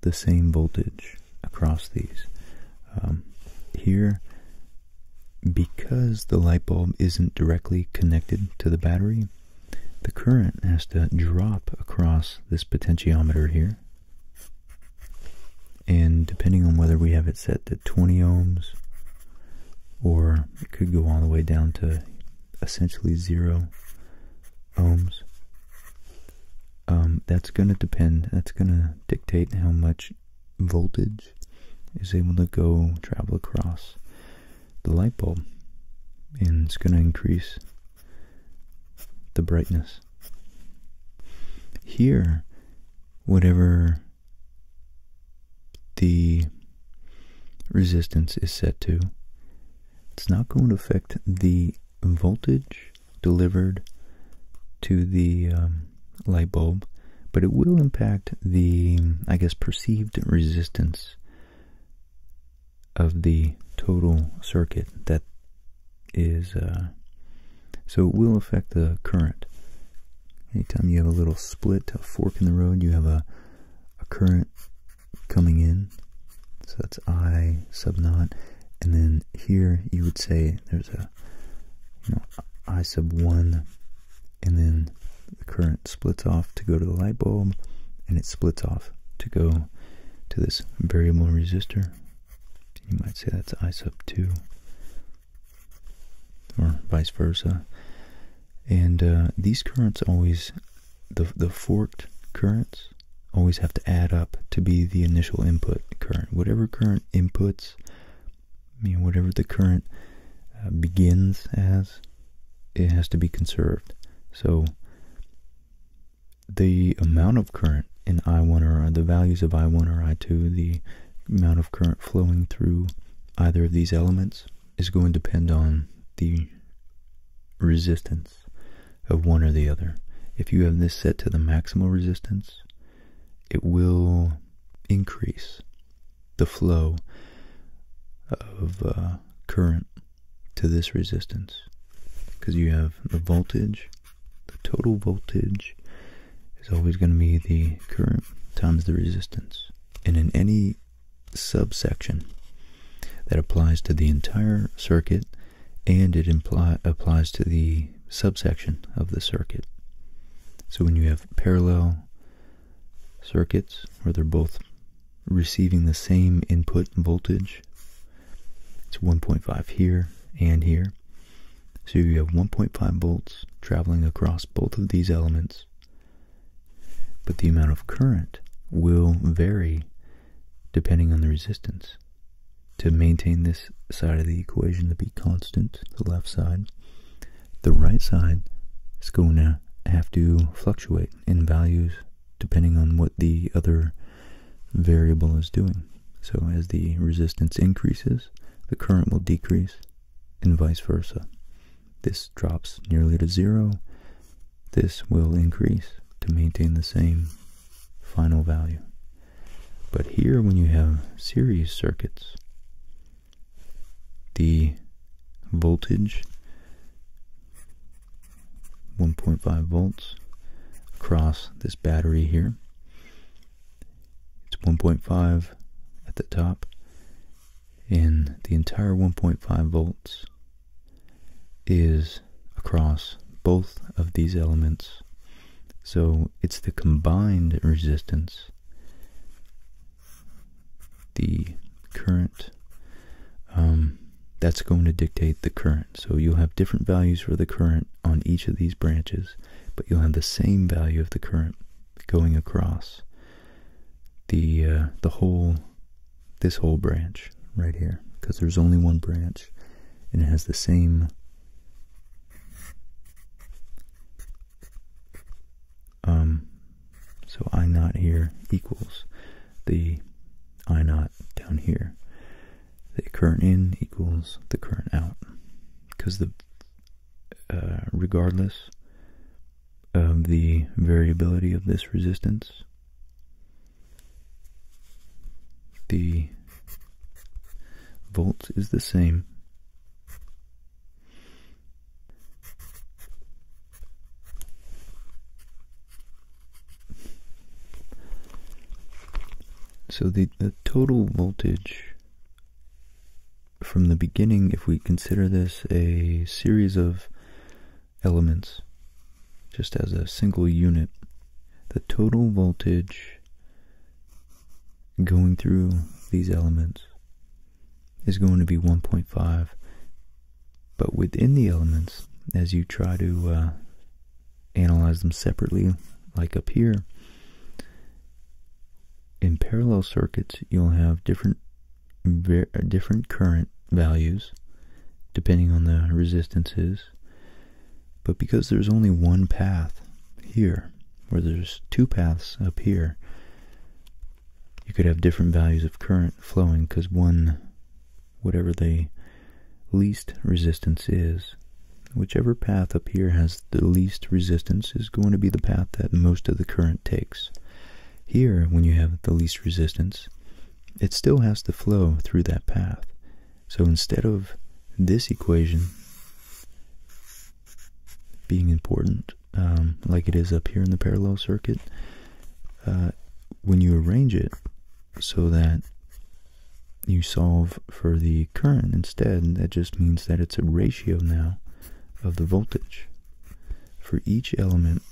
Speaker 1: the same voltage across these. Um, here, because the light bulb isn't directly connected to the battery, the current has to drop across this potentiometer here. And depending on whether we have it set to 20 ohms, or it could go all the way down to essentially zero ohms, um, that's going to depend, that's going to dictate how much voltage is able to go travel across the light bulb. And it's going to increase the brightness. Here, whatever the resistance is set to, it's not going to affect the voltage delivered to the um, light bulb, but it will impact the, I guess, perceived resistance of the total circuit that is, uh, so it will affect the current. Anytime you have a little split, a fork in the road, you have a, a current coming in. So that's I sub naught and then here you would say there's a you know I sub one and then the current splits off to go to the light bulb and it splits off to go to this variable resistor. You might say that's I sub two or vice versa. And uh, these currents always the the forked currents always have to add up to be the initial input current. Whatever current inputs, I mean, whatever the current uh, begins as, it has to be conserved. So the amount of current in I1 or the values of I1 or I2, the amount of current flowing through either of these elements is going to depend on the resistance of one or the other. If you have this set to the maximal resistance, it will increase the flow of uh, current to this resistance because you have the voltage, the total voltage is always going to be the current times the resistance. And in any subsection that applies to the entire circuit, and it applies to the subsection of the circuit. So when you have parallel circuits where they're both receiving the same input voltage, it's 1.5 here and here. So you have 1.5 volts traveling across both of these elements, but the amount of current will vary depending on the resistance to maintain this side of the equation to be constant, the left side, the right side is going to have to fluctuate in values depending on what the other variable is doing. So as the resistance increases, the current will decrease and vice versa. This drops nearly to zero. This will increase to maintain the same final value. But here, when you have series circuits, the voltage, 1.5 volts, across this battery here, it's 1.5 at the top, and the entire 1.5 volts is across both of these elements. So it's the combined resistance, the current, um, that's going to dictate the current. So you'll have different values for the current on each of these branches, but you'll have the same value of the current going across the uh, the whole this whole branch right here because there's only one branch and it has the same um, so I not here equals the I not down here. The current in equals the current out. Because the uh, regardless of the variability of this resistance, the volt is the same. So the, the total voltage from the beginning, if we consider this a series of elements, just as a single unit, the total voltage going through these elements is going to be 1.5 but within the elements as you try to uh, analyze them separately like up here in parallel circuits you'll have different different current values depending on the resistances but because there's only one path here, where there's two paths up here, you could have different values of current flowing because one, whatever the least resistance is, whichever path up here has the least resistance is going to be the path that most of the current takes. Here, when you have the least resistance, it still has to flow through that path. So instead of this equation being important, um, like it is up here in the parallel circuit, uh, when you arrange it so that you solve for the current instead, that just means that it's a ratio now of the voltage. For each element,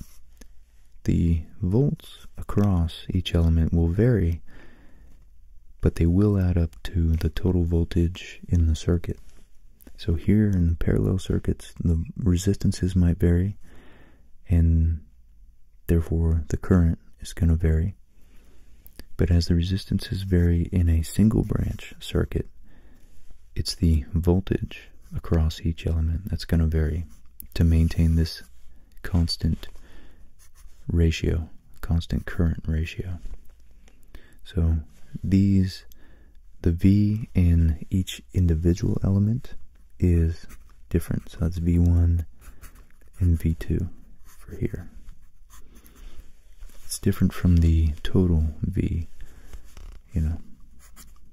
Speaker 1: the volts across each element will vary but they will add up to the total voltage in the circuit. So here in the parallel circuits, the resistances might vary, and therefore the current is going to vary. But as the resistances vary in a single branch circuit, it's the voltage across each element that's going to vary to maintain this constant ratio, constant current ratio. So these, the V in each individual element is different. So that's V1 and V2 for here. It's different from the total V, you know,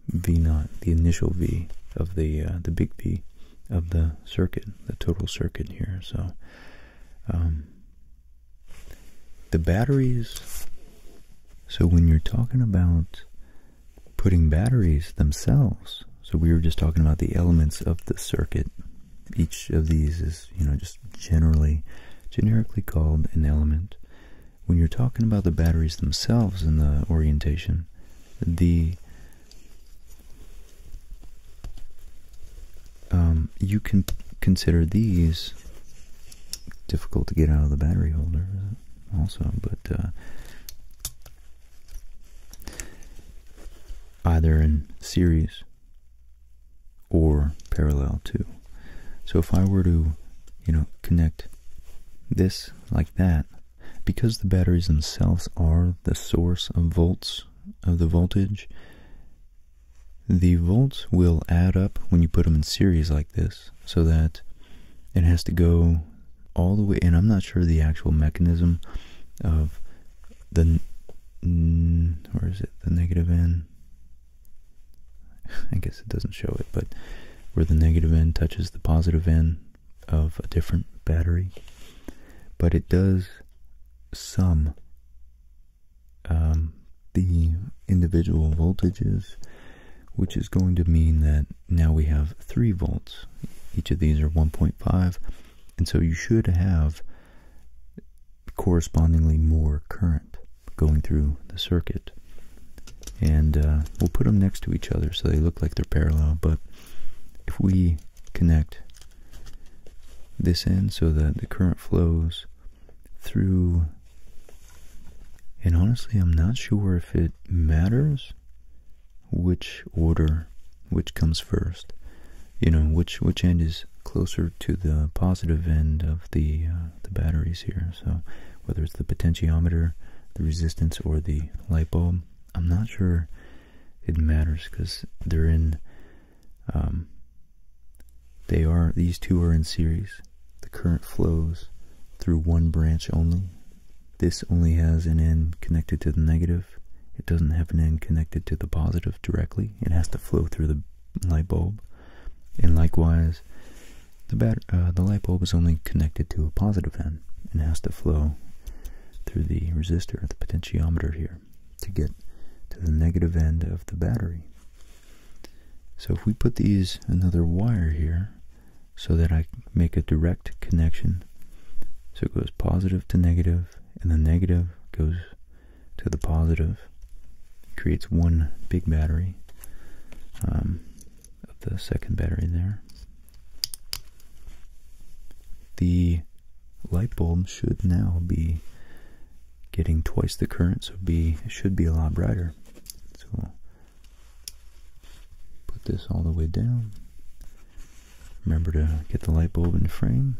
Speaker 1: V naught, the initial V of the uh, the big V of the circuit, the total circuit here. So um, the batteries. So when you're talking about putting batteries themselves, so we were just talking about the elements of the circuit. Each of these is, you know, just generally, generically called an element. When you're talking about the batteries themselves and the orientation, the um, you can consider these difficult to get out of the battery holder, also, but uh, either in series or parallel too. So if I were to, you know, connect this like that, because the batteries themselves are the source of volts of the voltage, the volts will add up when you put them in series like this, so that it has to go all the way, and I'm not sure the actual mechanism of the, or it the negative end? I guess it doesn't show it, but where the negative end touches the positive end of a different battery. But it does sum the individual voltages, which is going to mean that now we have 3 volts. Each of these are 1.5, and so you should have correspondingly more current going through the circuit. And uh, we'll put them next to each other so they look like they're parallel, but if we connect this end so that the current flows through. And honestly, I'm not sure if it matters which order, which comes first. You know, which which end is closer to the positive end of the uh, the batteries here. So whether it's the potentiometer, the resistance, or the light bulb, I'm not sure it matters because they're in um, they are these two are in series. The current flows through one branch only. This only has an end connected to the negative. It doesn't have an end connected to the positive directly. It has to flow through the light bulb. And likewise, the, uh, the light bulb is only connected to a positive end and has to flow through the resistor, the potentiometer here to get to the negative end of the battery. So if we put these another wire here so that I make a direct connection, so it goes positive to negative and the negative goes to the positive, creates one big battery um, of the second battery there. The light bulb should now be getting twice the current, so be should be a lot brighter. So put this all the way down. Remember to get the light bulb in frame.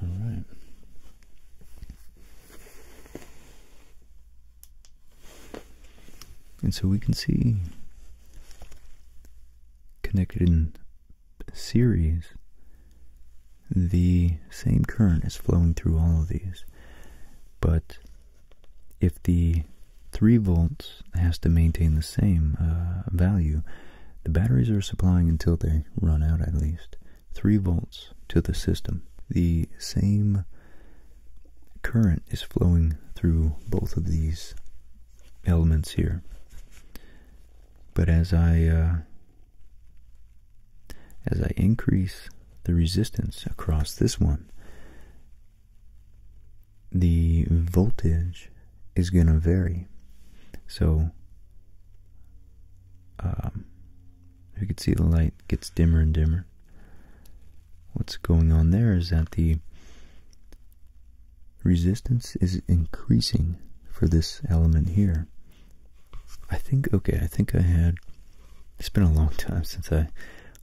Speaker 1: All right. And so we can see connected in series the same current is flowing through all of these. But if the 3 volts has to maintain the same uh, value, the batteries are supplying until they run out at least. 3 volts to the system. The same current is flowing through both of these elements here. But as I uh, as I increase the resistance across this one, the voltage is going to vary. So um, you can see the light gets dimmer and dimmer. What's going on there is that the resistance is increasing for this element here. I think, okay, I think I had, it's been a long time since I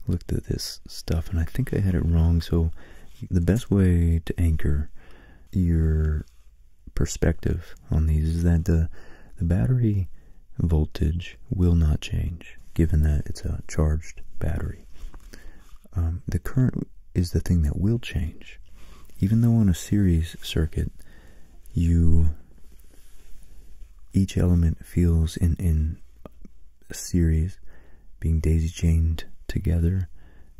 Speaker 1: looked at this stuff and I think I had it wrong. So the best way to anchor your perspective on these is that the the battery voltage will not change given that it's a charged battery. Um, the current is the thing that will change. Even though on a series circuit, you each element feels in, in series being daisy chained together,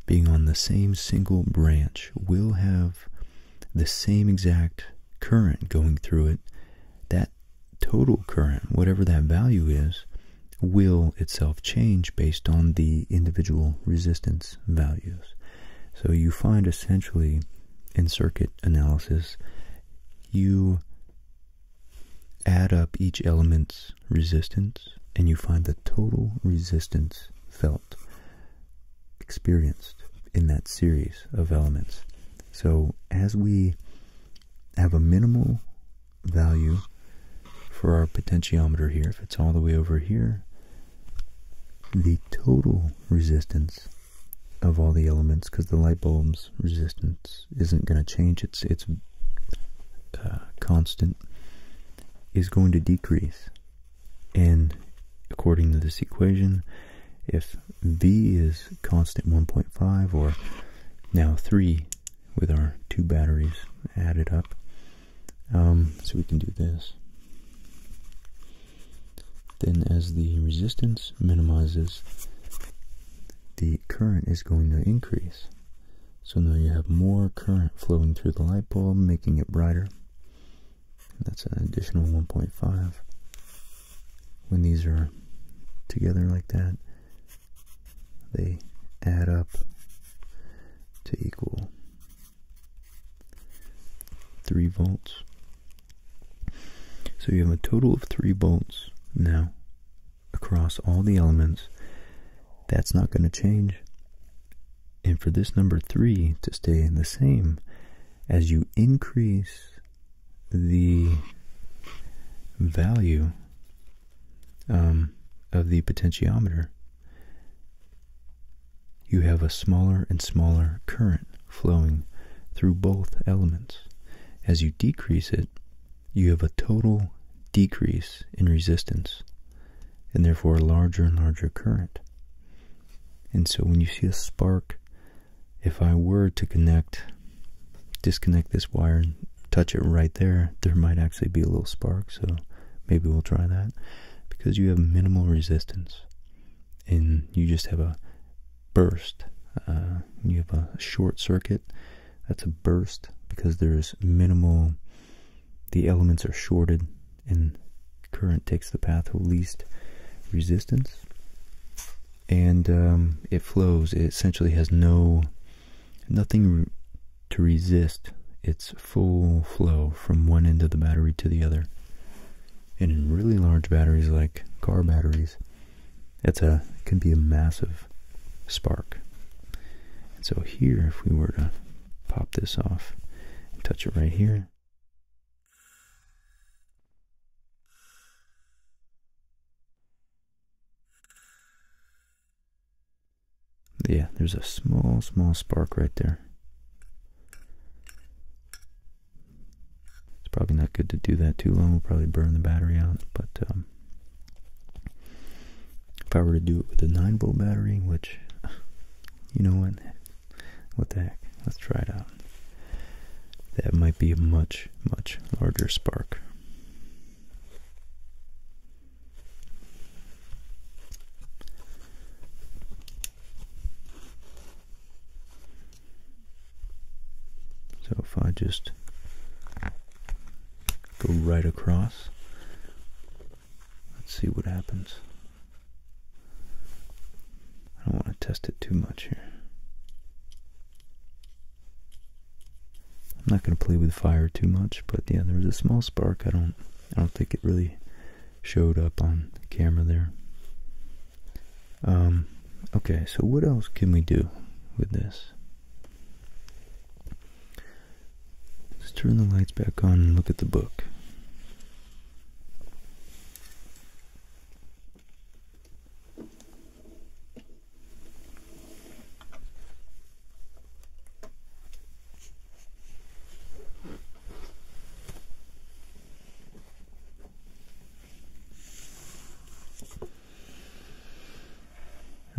Speaker 1: being on the same single branch, will have the same exact current going through it, that total current, whatever that value is, will itself change based on the individual resistance values. So you find essentially in circuit analysis, you add up each element's resistance and you find the total resistance felt experienced in that series of elements. So as we have a minimal value for our potentiometer here, if it's all the way over here, the total resistance of all the elements, because the light bulb's resistance isn't going to change, it's, it's uh, constant, is going to decrease. And according to this equation, if V is constant 1.5 or now 3 with our two batteries added up. Um, so we can do this. Then as the resistance minimizes, the current is going to increase. So now you have more current flowing through the light bulb, making it brighter. That's an additional 1.5. When these are together like that, they add up to equal 3 volts. So you have a total of 3 volts now across all the elements. That's not going to change. And for this number 3 to stay the same, as you increase the value um, of the potentiometer, you have a smaller and smaller current flowing through both elements. As you decrease it, you have a total decrease in resistance and therefore a larger and larger current. And so when you see a spark if I were to connect, disconnect this wire and touch it right there, there might actually be a little spark. So maybe we'll try that because you have minimal resistance and you just have a burst. Uh, you have a short circuit. That's a burst because there is minimal, the elements are shorted and current takes the path of least resistance and um, it flows. It essentially has no nothing to resist its full flow from one end of the battery to the other. And in really large batteries like car batteries, that's a can be a massive spark. And so here, if we were to pop this off and touch it right here, yeah, there's a small, small spark right there. It's probably not good to do that too long. We'll probably burn the battery out. But um, if I were to do it with a 9 volt battery, which, you know what, what the heck? Let's try it out. That might be a much, much larger spark. So if I just go right across, let's see what happens. I don't want to test it too much here. I'm not going to play with fire too much, but yeah, there was a small spark. I don't, I don't think it really showed up on camera there. Um, okay, so what else can we do with this? Let's turn the lights back on and look at the book.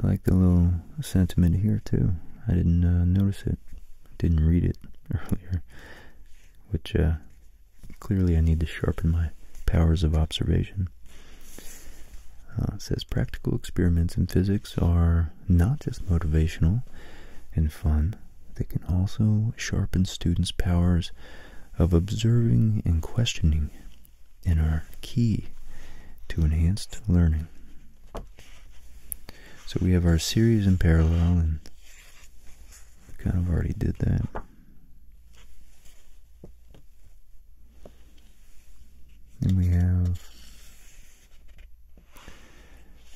Speaker 1: I like the little sentiment here too. I didn't uh, notice it, didn't read it earlier, which uh, Clearly, I need to sharpen my powers of observation. Uh, it says practical experiments in physics are not just motivational and fun, they can also sharpen students' powers of observing and questioning and are key to enhanced learning. So we have our series in parallel, and we kind of already did that. And we have,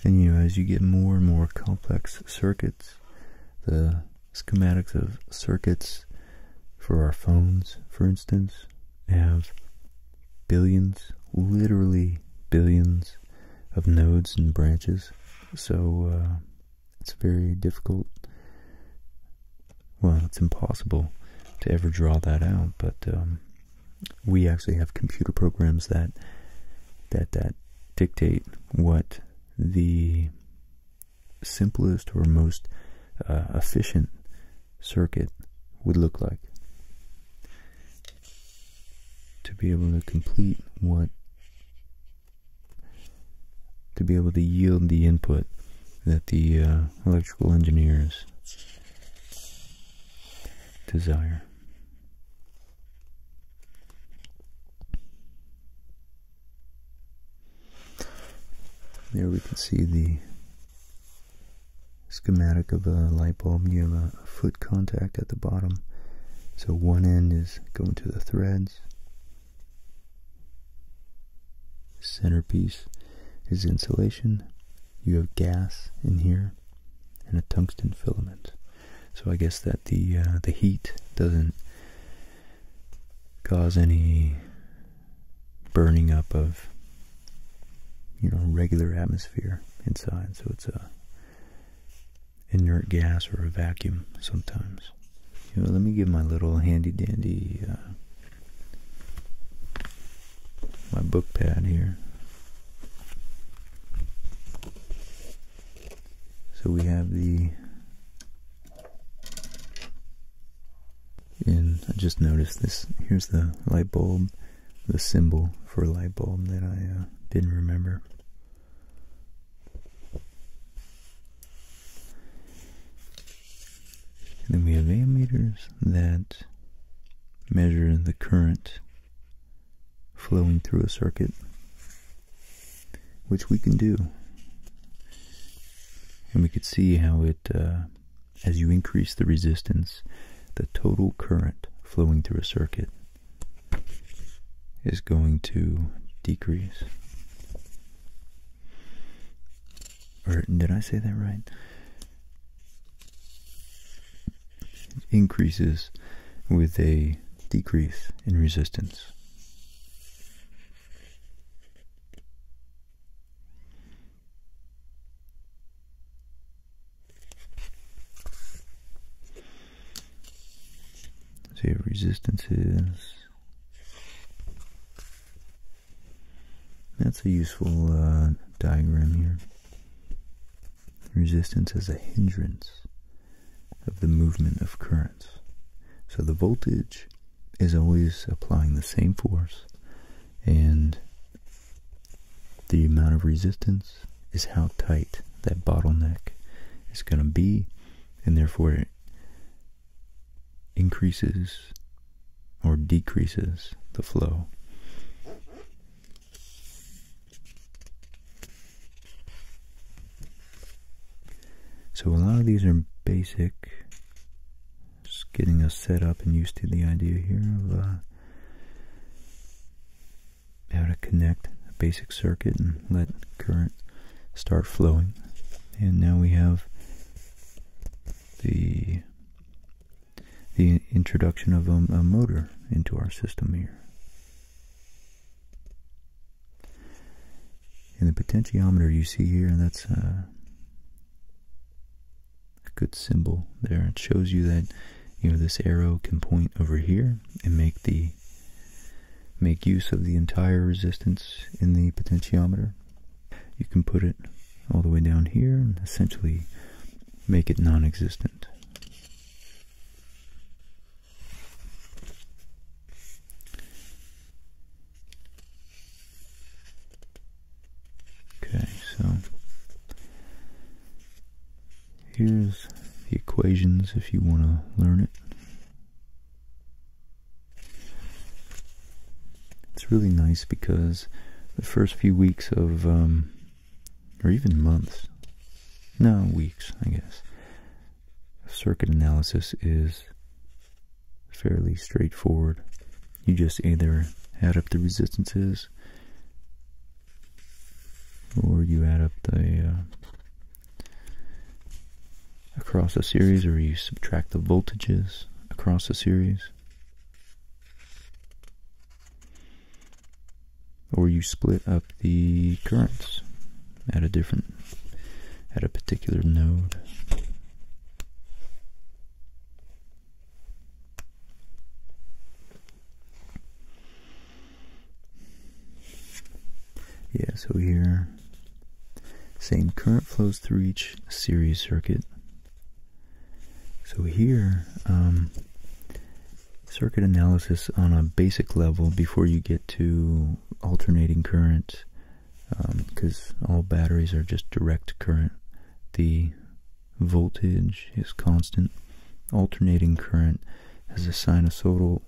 Speaker 1: and you as you get more and more complex circuits, the schematics of circuits for our phones, for instance, have billions, literally billions of nodes and branches. So, uh, it's very difficult. Well, it's impossible to ever draw that out, but um, we actually have computer programs that that that dictate what the simplest or most uh, efficient circuit would look like to be able to complete what to be able to yield the input that the uh, electrical engineers desire. There we can see the schematic of a light bulb. You have a foot contact at the bottom. So one end is going to the threads centerpiece is insulation. You have gas in here and a tungsten filament. So I guess that the uh, the heat doesn't cause any burning up of you know regular atmosphere inside. So it's a inert gas or a vacuum sometimes. let me give my little handy dandy uh, my book pad here. So we have the and I just noticed this. Here's the light bulb, the symbol for light bulb that I uh, didn't remember. And then we have ammeters that measure the current flowing through a circuit, which we can do. And we could see how it, uh, as you increase the resistance, the total current flowing through a circuit is going to decrease. Or did I say that right? increases with a decrease in resistance. See what resistance is. That's a useful uh, diagram here. Resistance is a hindrance of the movement of currents. So the voltage is always applying the same force and the amount of resistance is how tight that bottleneck is going to be and therefore increases or decreases the flow. So a lot of these are basic, just getting us set up and used to the idea here of uh, how to connect a basic circuit and let current start flowing. And now we have the the introduction of a, motor into our system here. And the potentiometer you see here, that's a, uh, a good symbol there. It shows you that you know this arrow can point over here and make the make use of the entire resistance in the potentiometer. You can put it all the way down here and essentially make it non-existent. Okay, so here's the equations if you want to learn it. It's really nice because the first few weeks of, um, or even months, no, weeks, I guess, circuit analysis is fairly straightforward. You just either add up the resistances or you add up the uh, across a series or you subtract the voltages across a series or you split up the currents at a different at a particular node yeah, so here, same current flows through each series circuit. So here, um, circuit analysis on a basic level before you get to alternating current, because um, all batteries are just direct current. The voltage is constant. Alternating current has a sinusoidal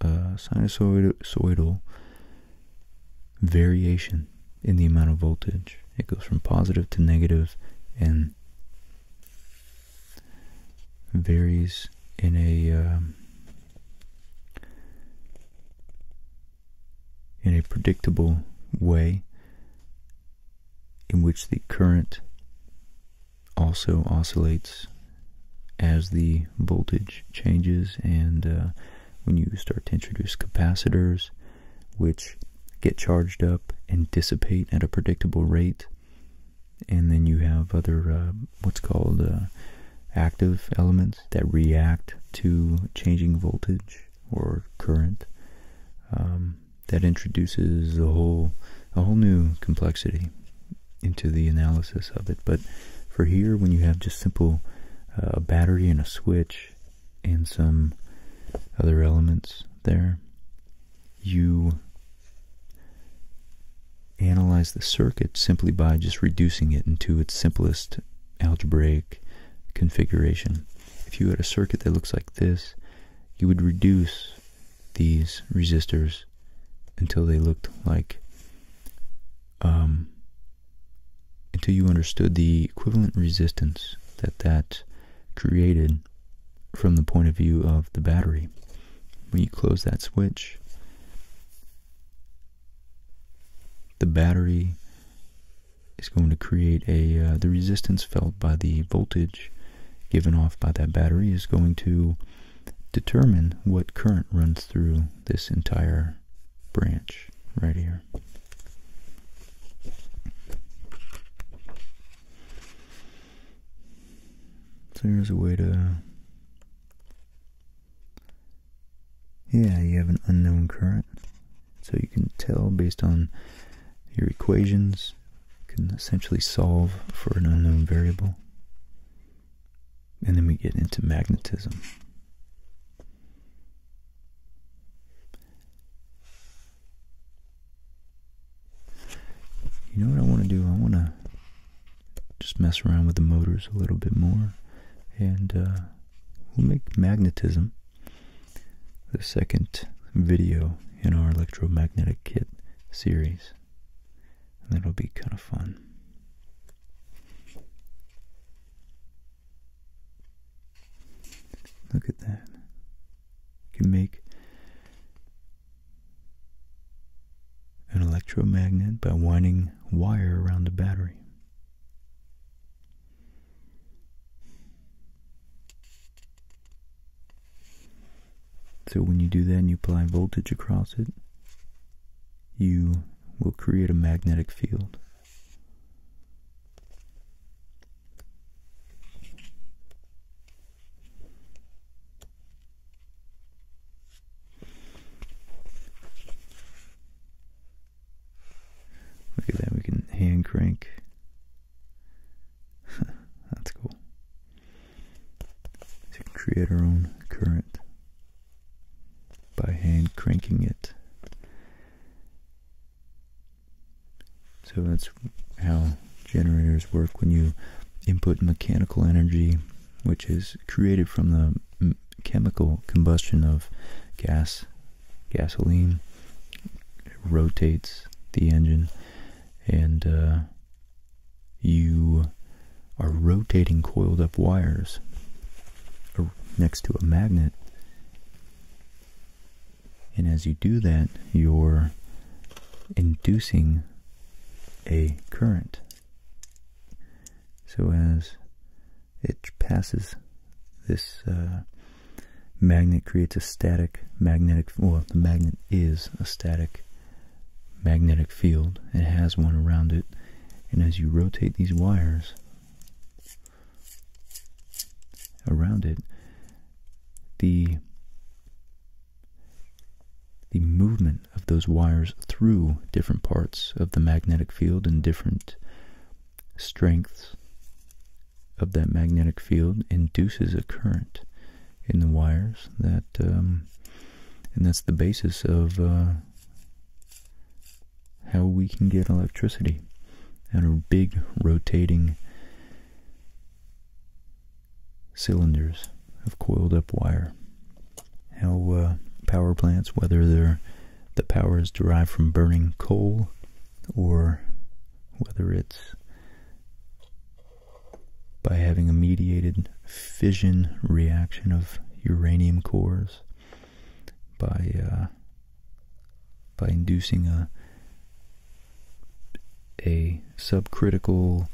Speaker 1: uh, sinusoidal variation in the amount of voltage. It goes from positive to negative and varies in a um, in a predictable way in which the current also oscillates as the voltage changes and uh, when you start to introduce capacitors which get charged up and dissipate at a predictable rate and then you have other uh, what's called uh, active elements that react to changing voltage or current um, that introduces a whole a whole new complexity into the analysis of it. But for here, when you have just simple uh, a battery and a switch and some other elements there, you analyze the circuit simply by just reducing it into its simplest algebraic configuration. If you had a circuit that looks like this, you would reduce these resistors until they looked like um, until you understood the equivalent resistance that that created from the point of view of the battery. When you close that switch, the battery is going to create a, uh, the resistance felt by the voltage given off by that battery is going to determine what current runs through this entire branch right here. So here's a way to... Yeah, you have an unknown current. So you can tell based on your equations, you can essentially solve for an unknown variable. And then we get into magnetism. You know what I want to do? I want to just mess around with the motors a little bit more. And uh, we'll make magnetism the second video in our electromagnetic kit series. That'll be kind of fun. Look at that. You can make an electromagnet by winding wire around a battery. So when you do that and you apply voltage across it, you will create a magnetic field. Look at that, we can hand crank. That's cool. To create our own current by hand cranking it. So that's how generators work when you input mechanical energy, which is created from the chemical combustion of gas, gasoline. It rotates the engine and uh, you are rotating coiled up wires next to a magnet. And as you do that, you're inducing a current. So as it passes this uh, magnet creates a static magnetic, well, the magnet is a static magnetic field. It has one around it. And as you rotate these wires around it, the the movement of those wires through different parts of the magnetic field and different strengths of that magnetic field induces a current in the wires that um, and that's the basis of uh, how we can get electricity and our big rotating cylinders of coiled up wire. How uh, power plants, whether the power is derived from burning coal or whether it's by having a mediated fission reaction of uranium cores by uh, by inducing a a subcritical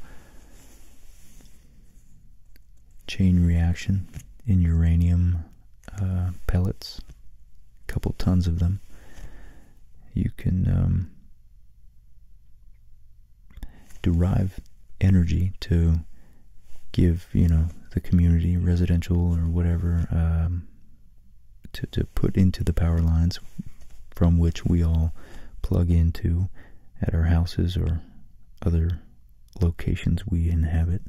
Speaker 1: chain reaction in uranium uh, pellets, a couple tons of them. You can um, derive energy to give, you know, the community, residential or whatever, um, to, to put into the power lines from which we all plug into at our houses or other locations we inhabit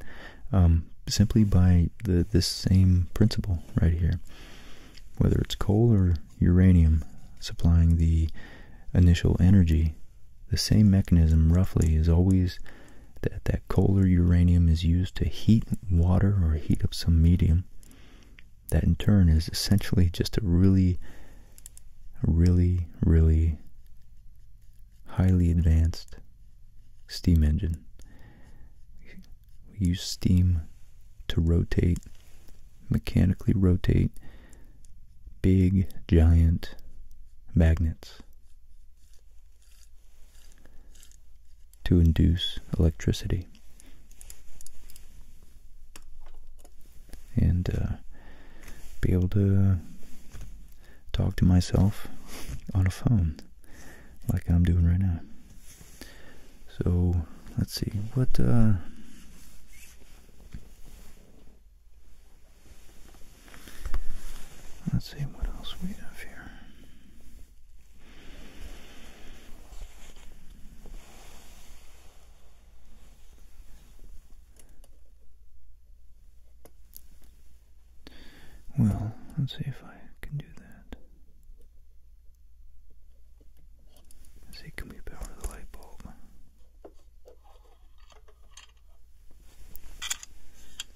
Speaker 1: um, simply by the this same principle right here whether it's coal or uranium supplying the initial energy the same mechanism, roughly, is always that that coal uranium is used to heat water or heat up some medium. That in turn is essentially just a really, really, really highly advanced steam engine. We use steam to rotate, mechanically rotate big giant magnets to induce electricity. And uh, be able to talk to myself on a phone like I'm doing right now. So let's see what uh, Let's see what else we have here. Well, let's see if I can do that. see, can we power the light bulb?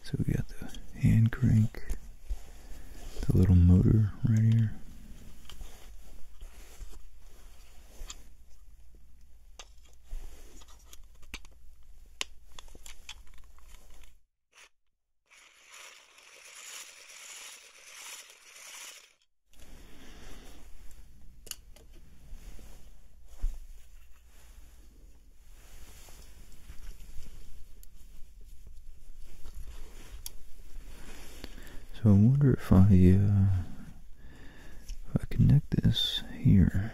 Speaker 1: So we got the hand crank, the little motor right here. So I wonder if I, uh, if I connect this here,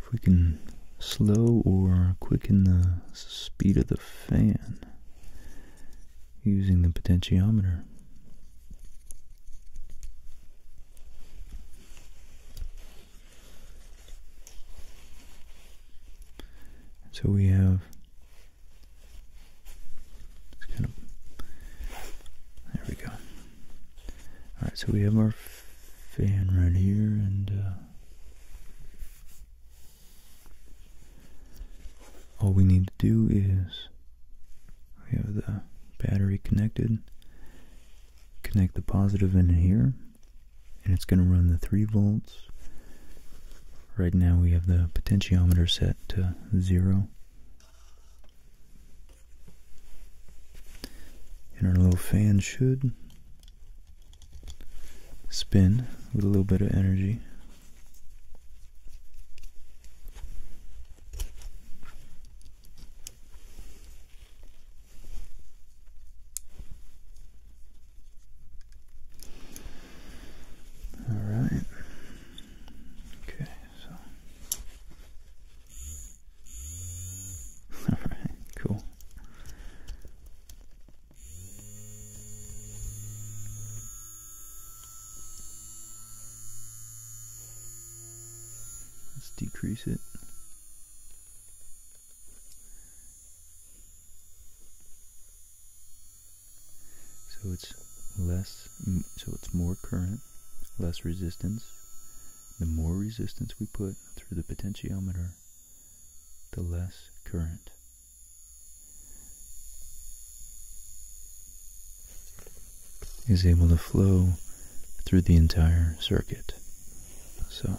Speaker 1: if we can slow or quicken the speed of the fan using the potentiometer so we have there we go. Alright, so we have our fan right here and uh, all we need to do is we have the battery connected. Connect the positive in here, and it's going to run the 3 volts. Right now we have the potentiometer set to 0. And our little fan should spin with a little bit of energy. All right. Okay, so. All right, cool. Let's decrease it. So it's less, so it's more current, less resistance. The more resistance we put through the potentiometer, the less current is able to flow through the entire circuit. So,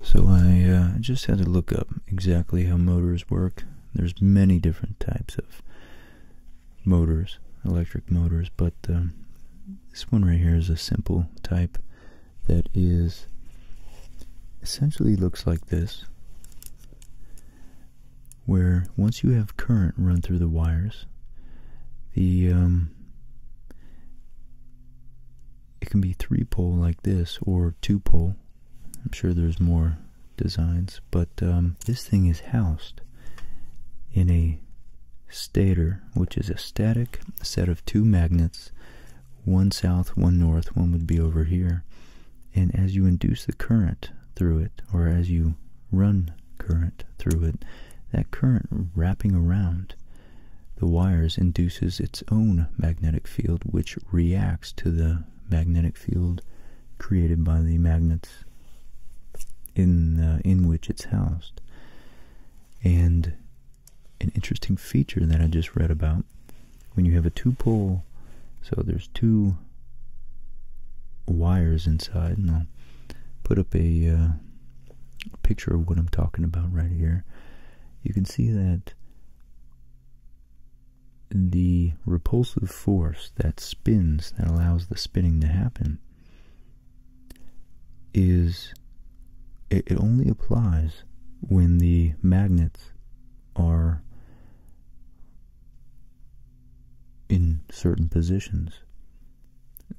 Speaker 1: So I uh, just had to look up exactly how motors work. There's many different types of motors, electric motors, but um, this one right here is a simple type that is essentially looks like this where once you have current run through the wires the um, it can be three pole like this or two pole I'm sure there's more designs but um, this thing is housed in a stator, which is a static set of two magnets, one south, one north, one would be over here. And as you induce the current through it, or as you run current through it, that current wrapping around the wires induces its own magnetic field, which reacts to the magnetic field created by the magnets in uh, in which it's housed. And an interesting feature that I just read about. When you have a two-pole, so there's two wires inside, and I'll put up a uh, picture of what I'm talking about right here. You can see that the repulsive force that spins, that allows the spinning to happen, is it, only applies when the magnets are in certain positions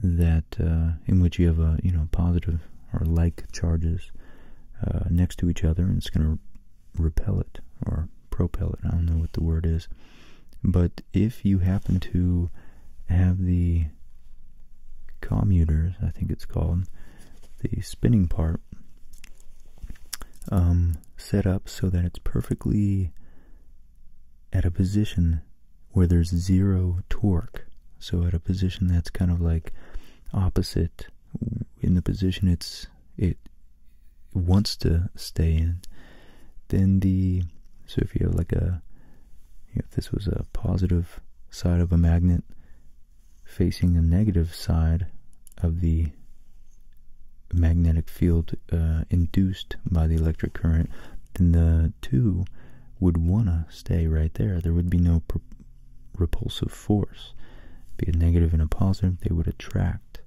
Speaker 1: that uh, in which you have a you know positive or like charges uh, next to each other and it's going to repel it or propel it. I don't know what the word is, but if you happen to have the commuters, I think it's called, the spinning part um, set up so that it's perfectly at a position where there's zero torque. So at a position that's kind of like opposite in the position it's it wants to stay in. Then the so if you have like a if this was a positive side of a magnet facing the negative side of the magnetic field uh, induced by the electric current, then the two would want to stay right there. There would be no repulsive force. Be a negative and a positive, they would attract.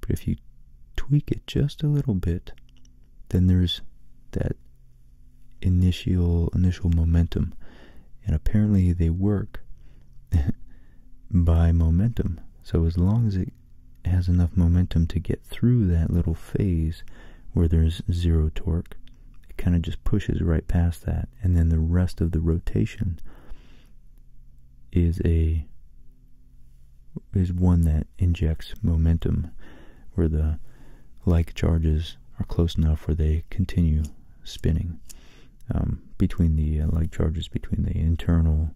Speaker 1: But if you tweak it just a little bit, then there's that initial initial momentum and apparently they work by momentum so as long as it has enough momentum to get through that little phase where there's zero torque it kind of just pushes right past that and then the rest of the rotation is a is one that injects momentum where the like charges are close enough where they continue spinning um, between the uh, like charges, between the internal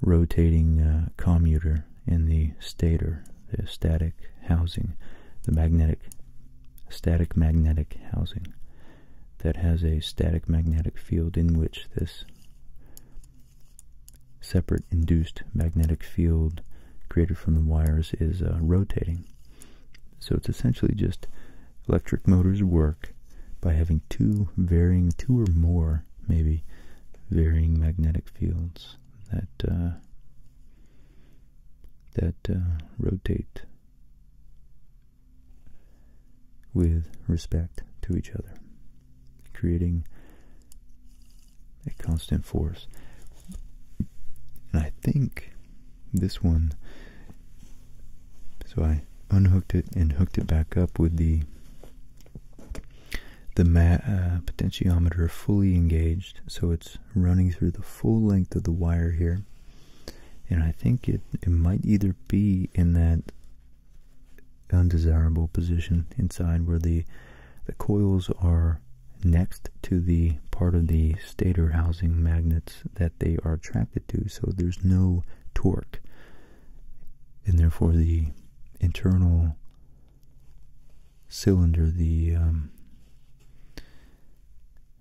Speaker 1: rotating uh, commutator and the stator, the static housing, the magnetic, static magnetic housing that has a static magnetic field in which this separate induced magnetic field created from the wires is uh, rotating. So it's essentially just electric motors work by having two varying, two or more maybe, varying magnetic fields that uh, that uh, rotate with respect to each other, creating a constant force. And I think this one, so I unhooked it and hooked it back up with the the uh, potentiometer fully engaged, so it's running through the full length of the wire here. And I think it, it might either be in that undesirable position inside where the the coils are next to the part of the stator housing magnets that they are attracted to, so there's no torque. And therefore, the internal cylinder, the um,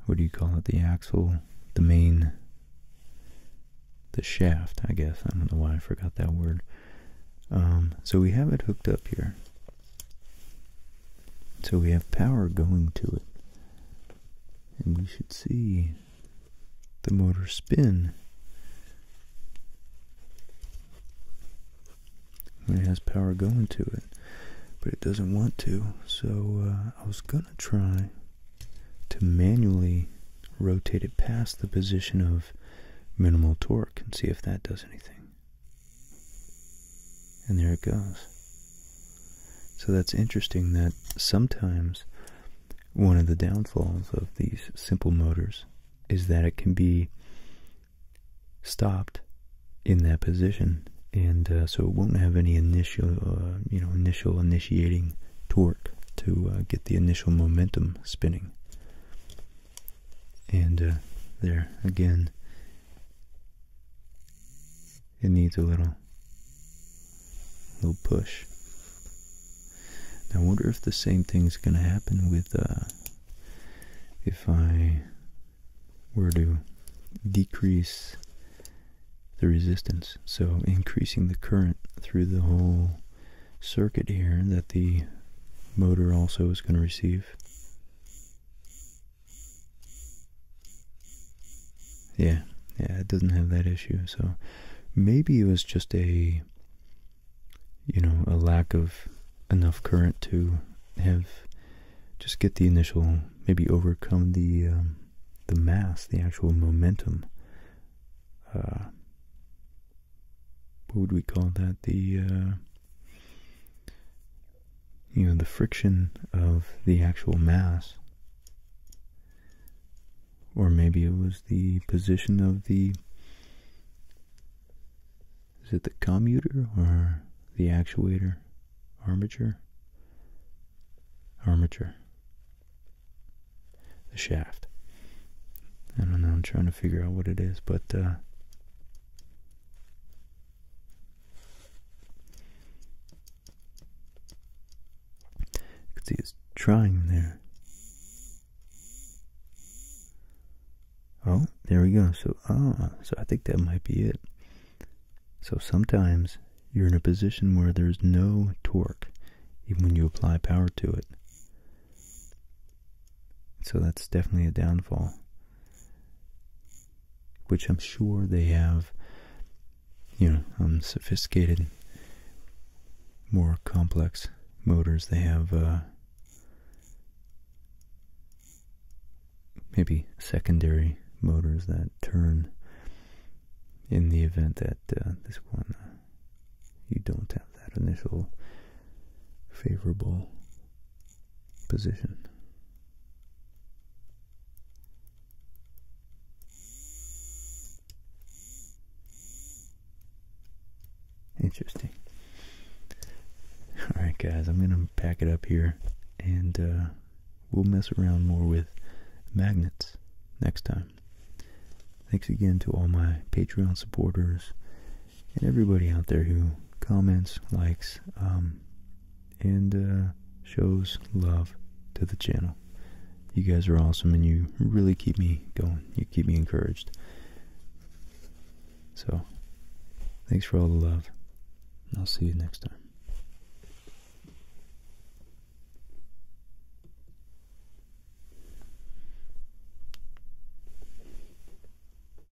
Speaker 1: what do you call it? The axle, the main, the shaft, I guess. I don't know why I forgot that word. Um, so we have it hooked up here. So we have power going to it. And we should see the motor spin. When it has power going to it. But it doesn't want to. So uh, I was going to try to manually rotate it past the position of minimal torque and see if that does anything. And there it goes. So that's interesting that sometimes one of the downfalls of these simple motors is that it can be stopped in that position and uh, so it won't have any initial uh, you know initial initiating torque to uh, get the initial momentum spinning and there again it needs a little, little push. Now, I wonder if the same thing's going to happen with, uh, if I were to decrease the resistance. So increasing the current through the whole circuit here that the motor also is going to receive. Yeah, yeah, it doesn't have that issue. So maybe it was just a, you know, a lack of enough current to have just get the initial, maybe overcome the um, the mass, the actual momentum. Uh, what would we call that? The uh, you know, the friction of the actual mass, or maybe it was the position of the, is it the commutator or the actuator, armature, armature, the shaft. I don't know, I'm trying to figure out what it is, but, uh, you can see it's trying there. Oh, there we go. So, ah, so I think that might be it. So sometimes you're in a position where there's no torque, even when you apply power to it. So that's definitely a downfall, which I'm sure they have, you know, um, sophisticated, more complex motors. They have uh, maybe secondary motors that turn in the event that uh, this one uh, you don't have that initial favorable position. Interesting. Alright guys, I'm going to pack it up here and uh, we'll mess around more with magnets next time. Thanks again to all my Patreon supporters and everybody out there who comments, likes, um, and uh, shows love to the channel. You guys are awesome, and you really keep me going. You keep me encouraged. So, thanks for all the love. I'll see you next time.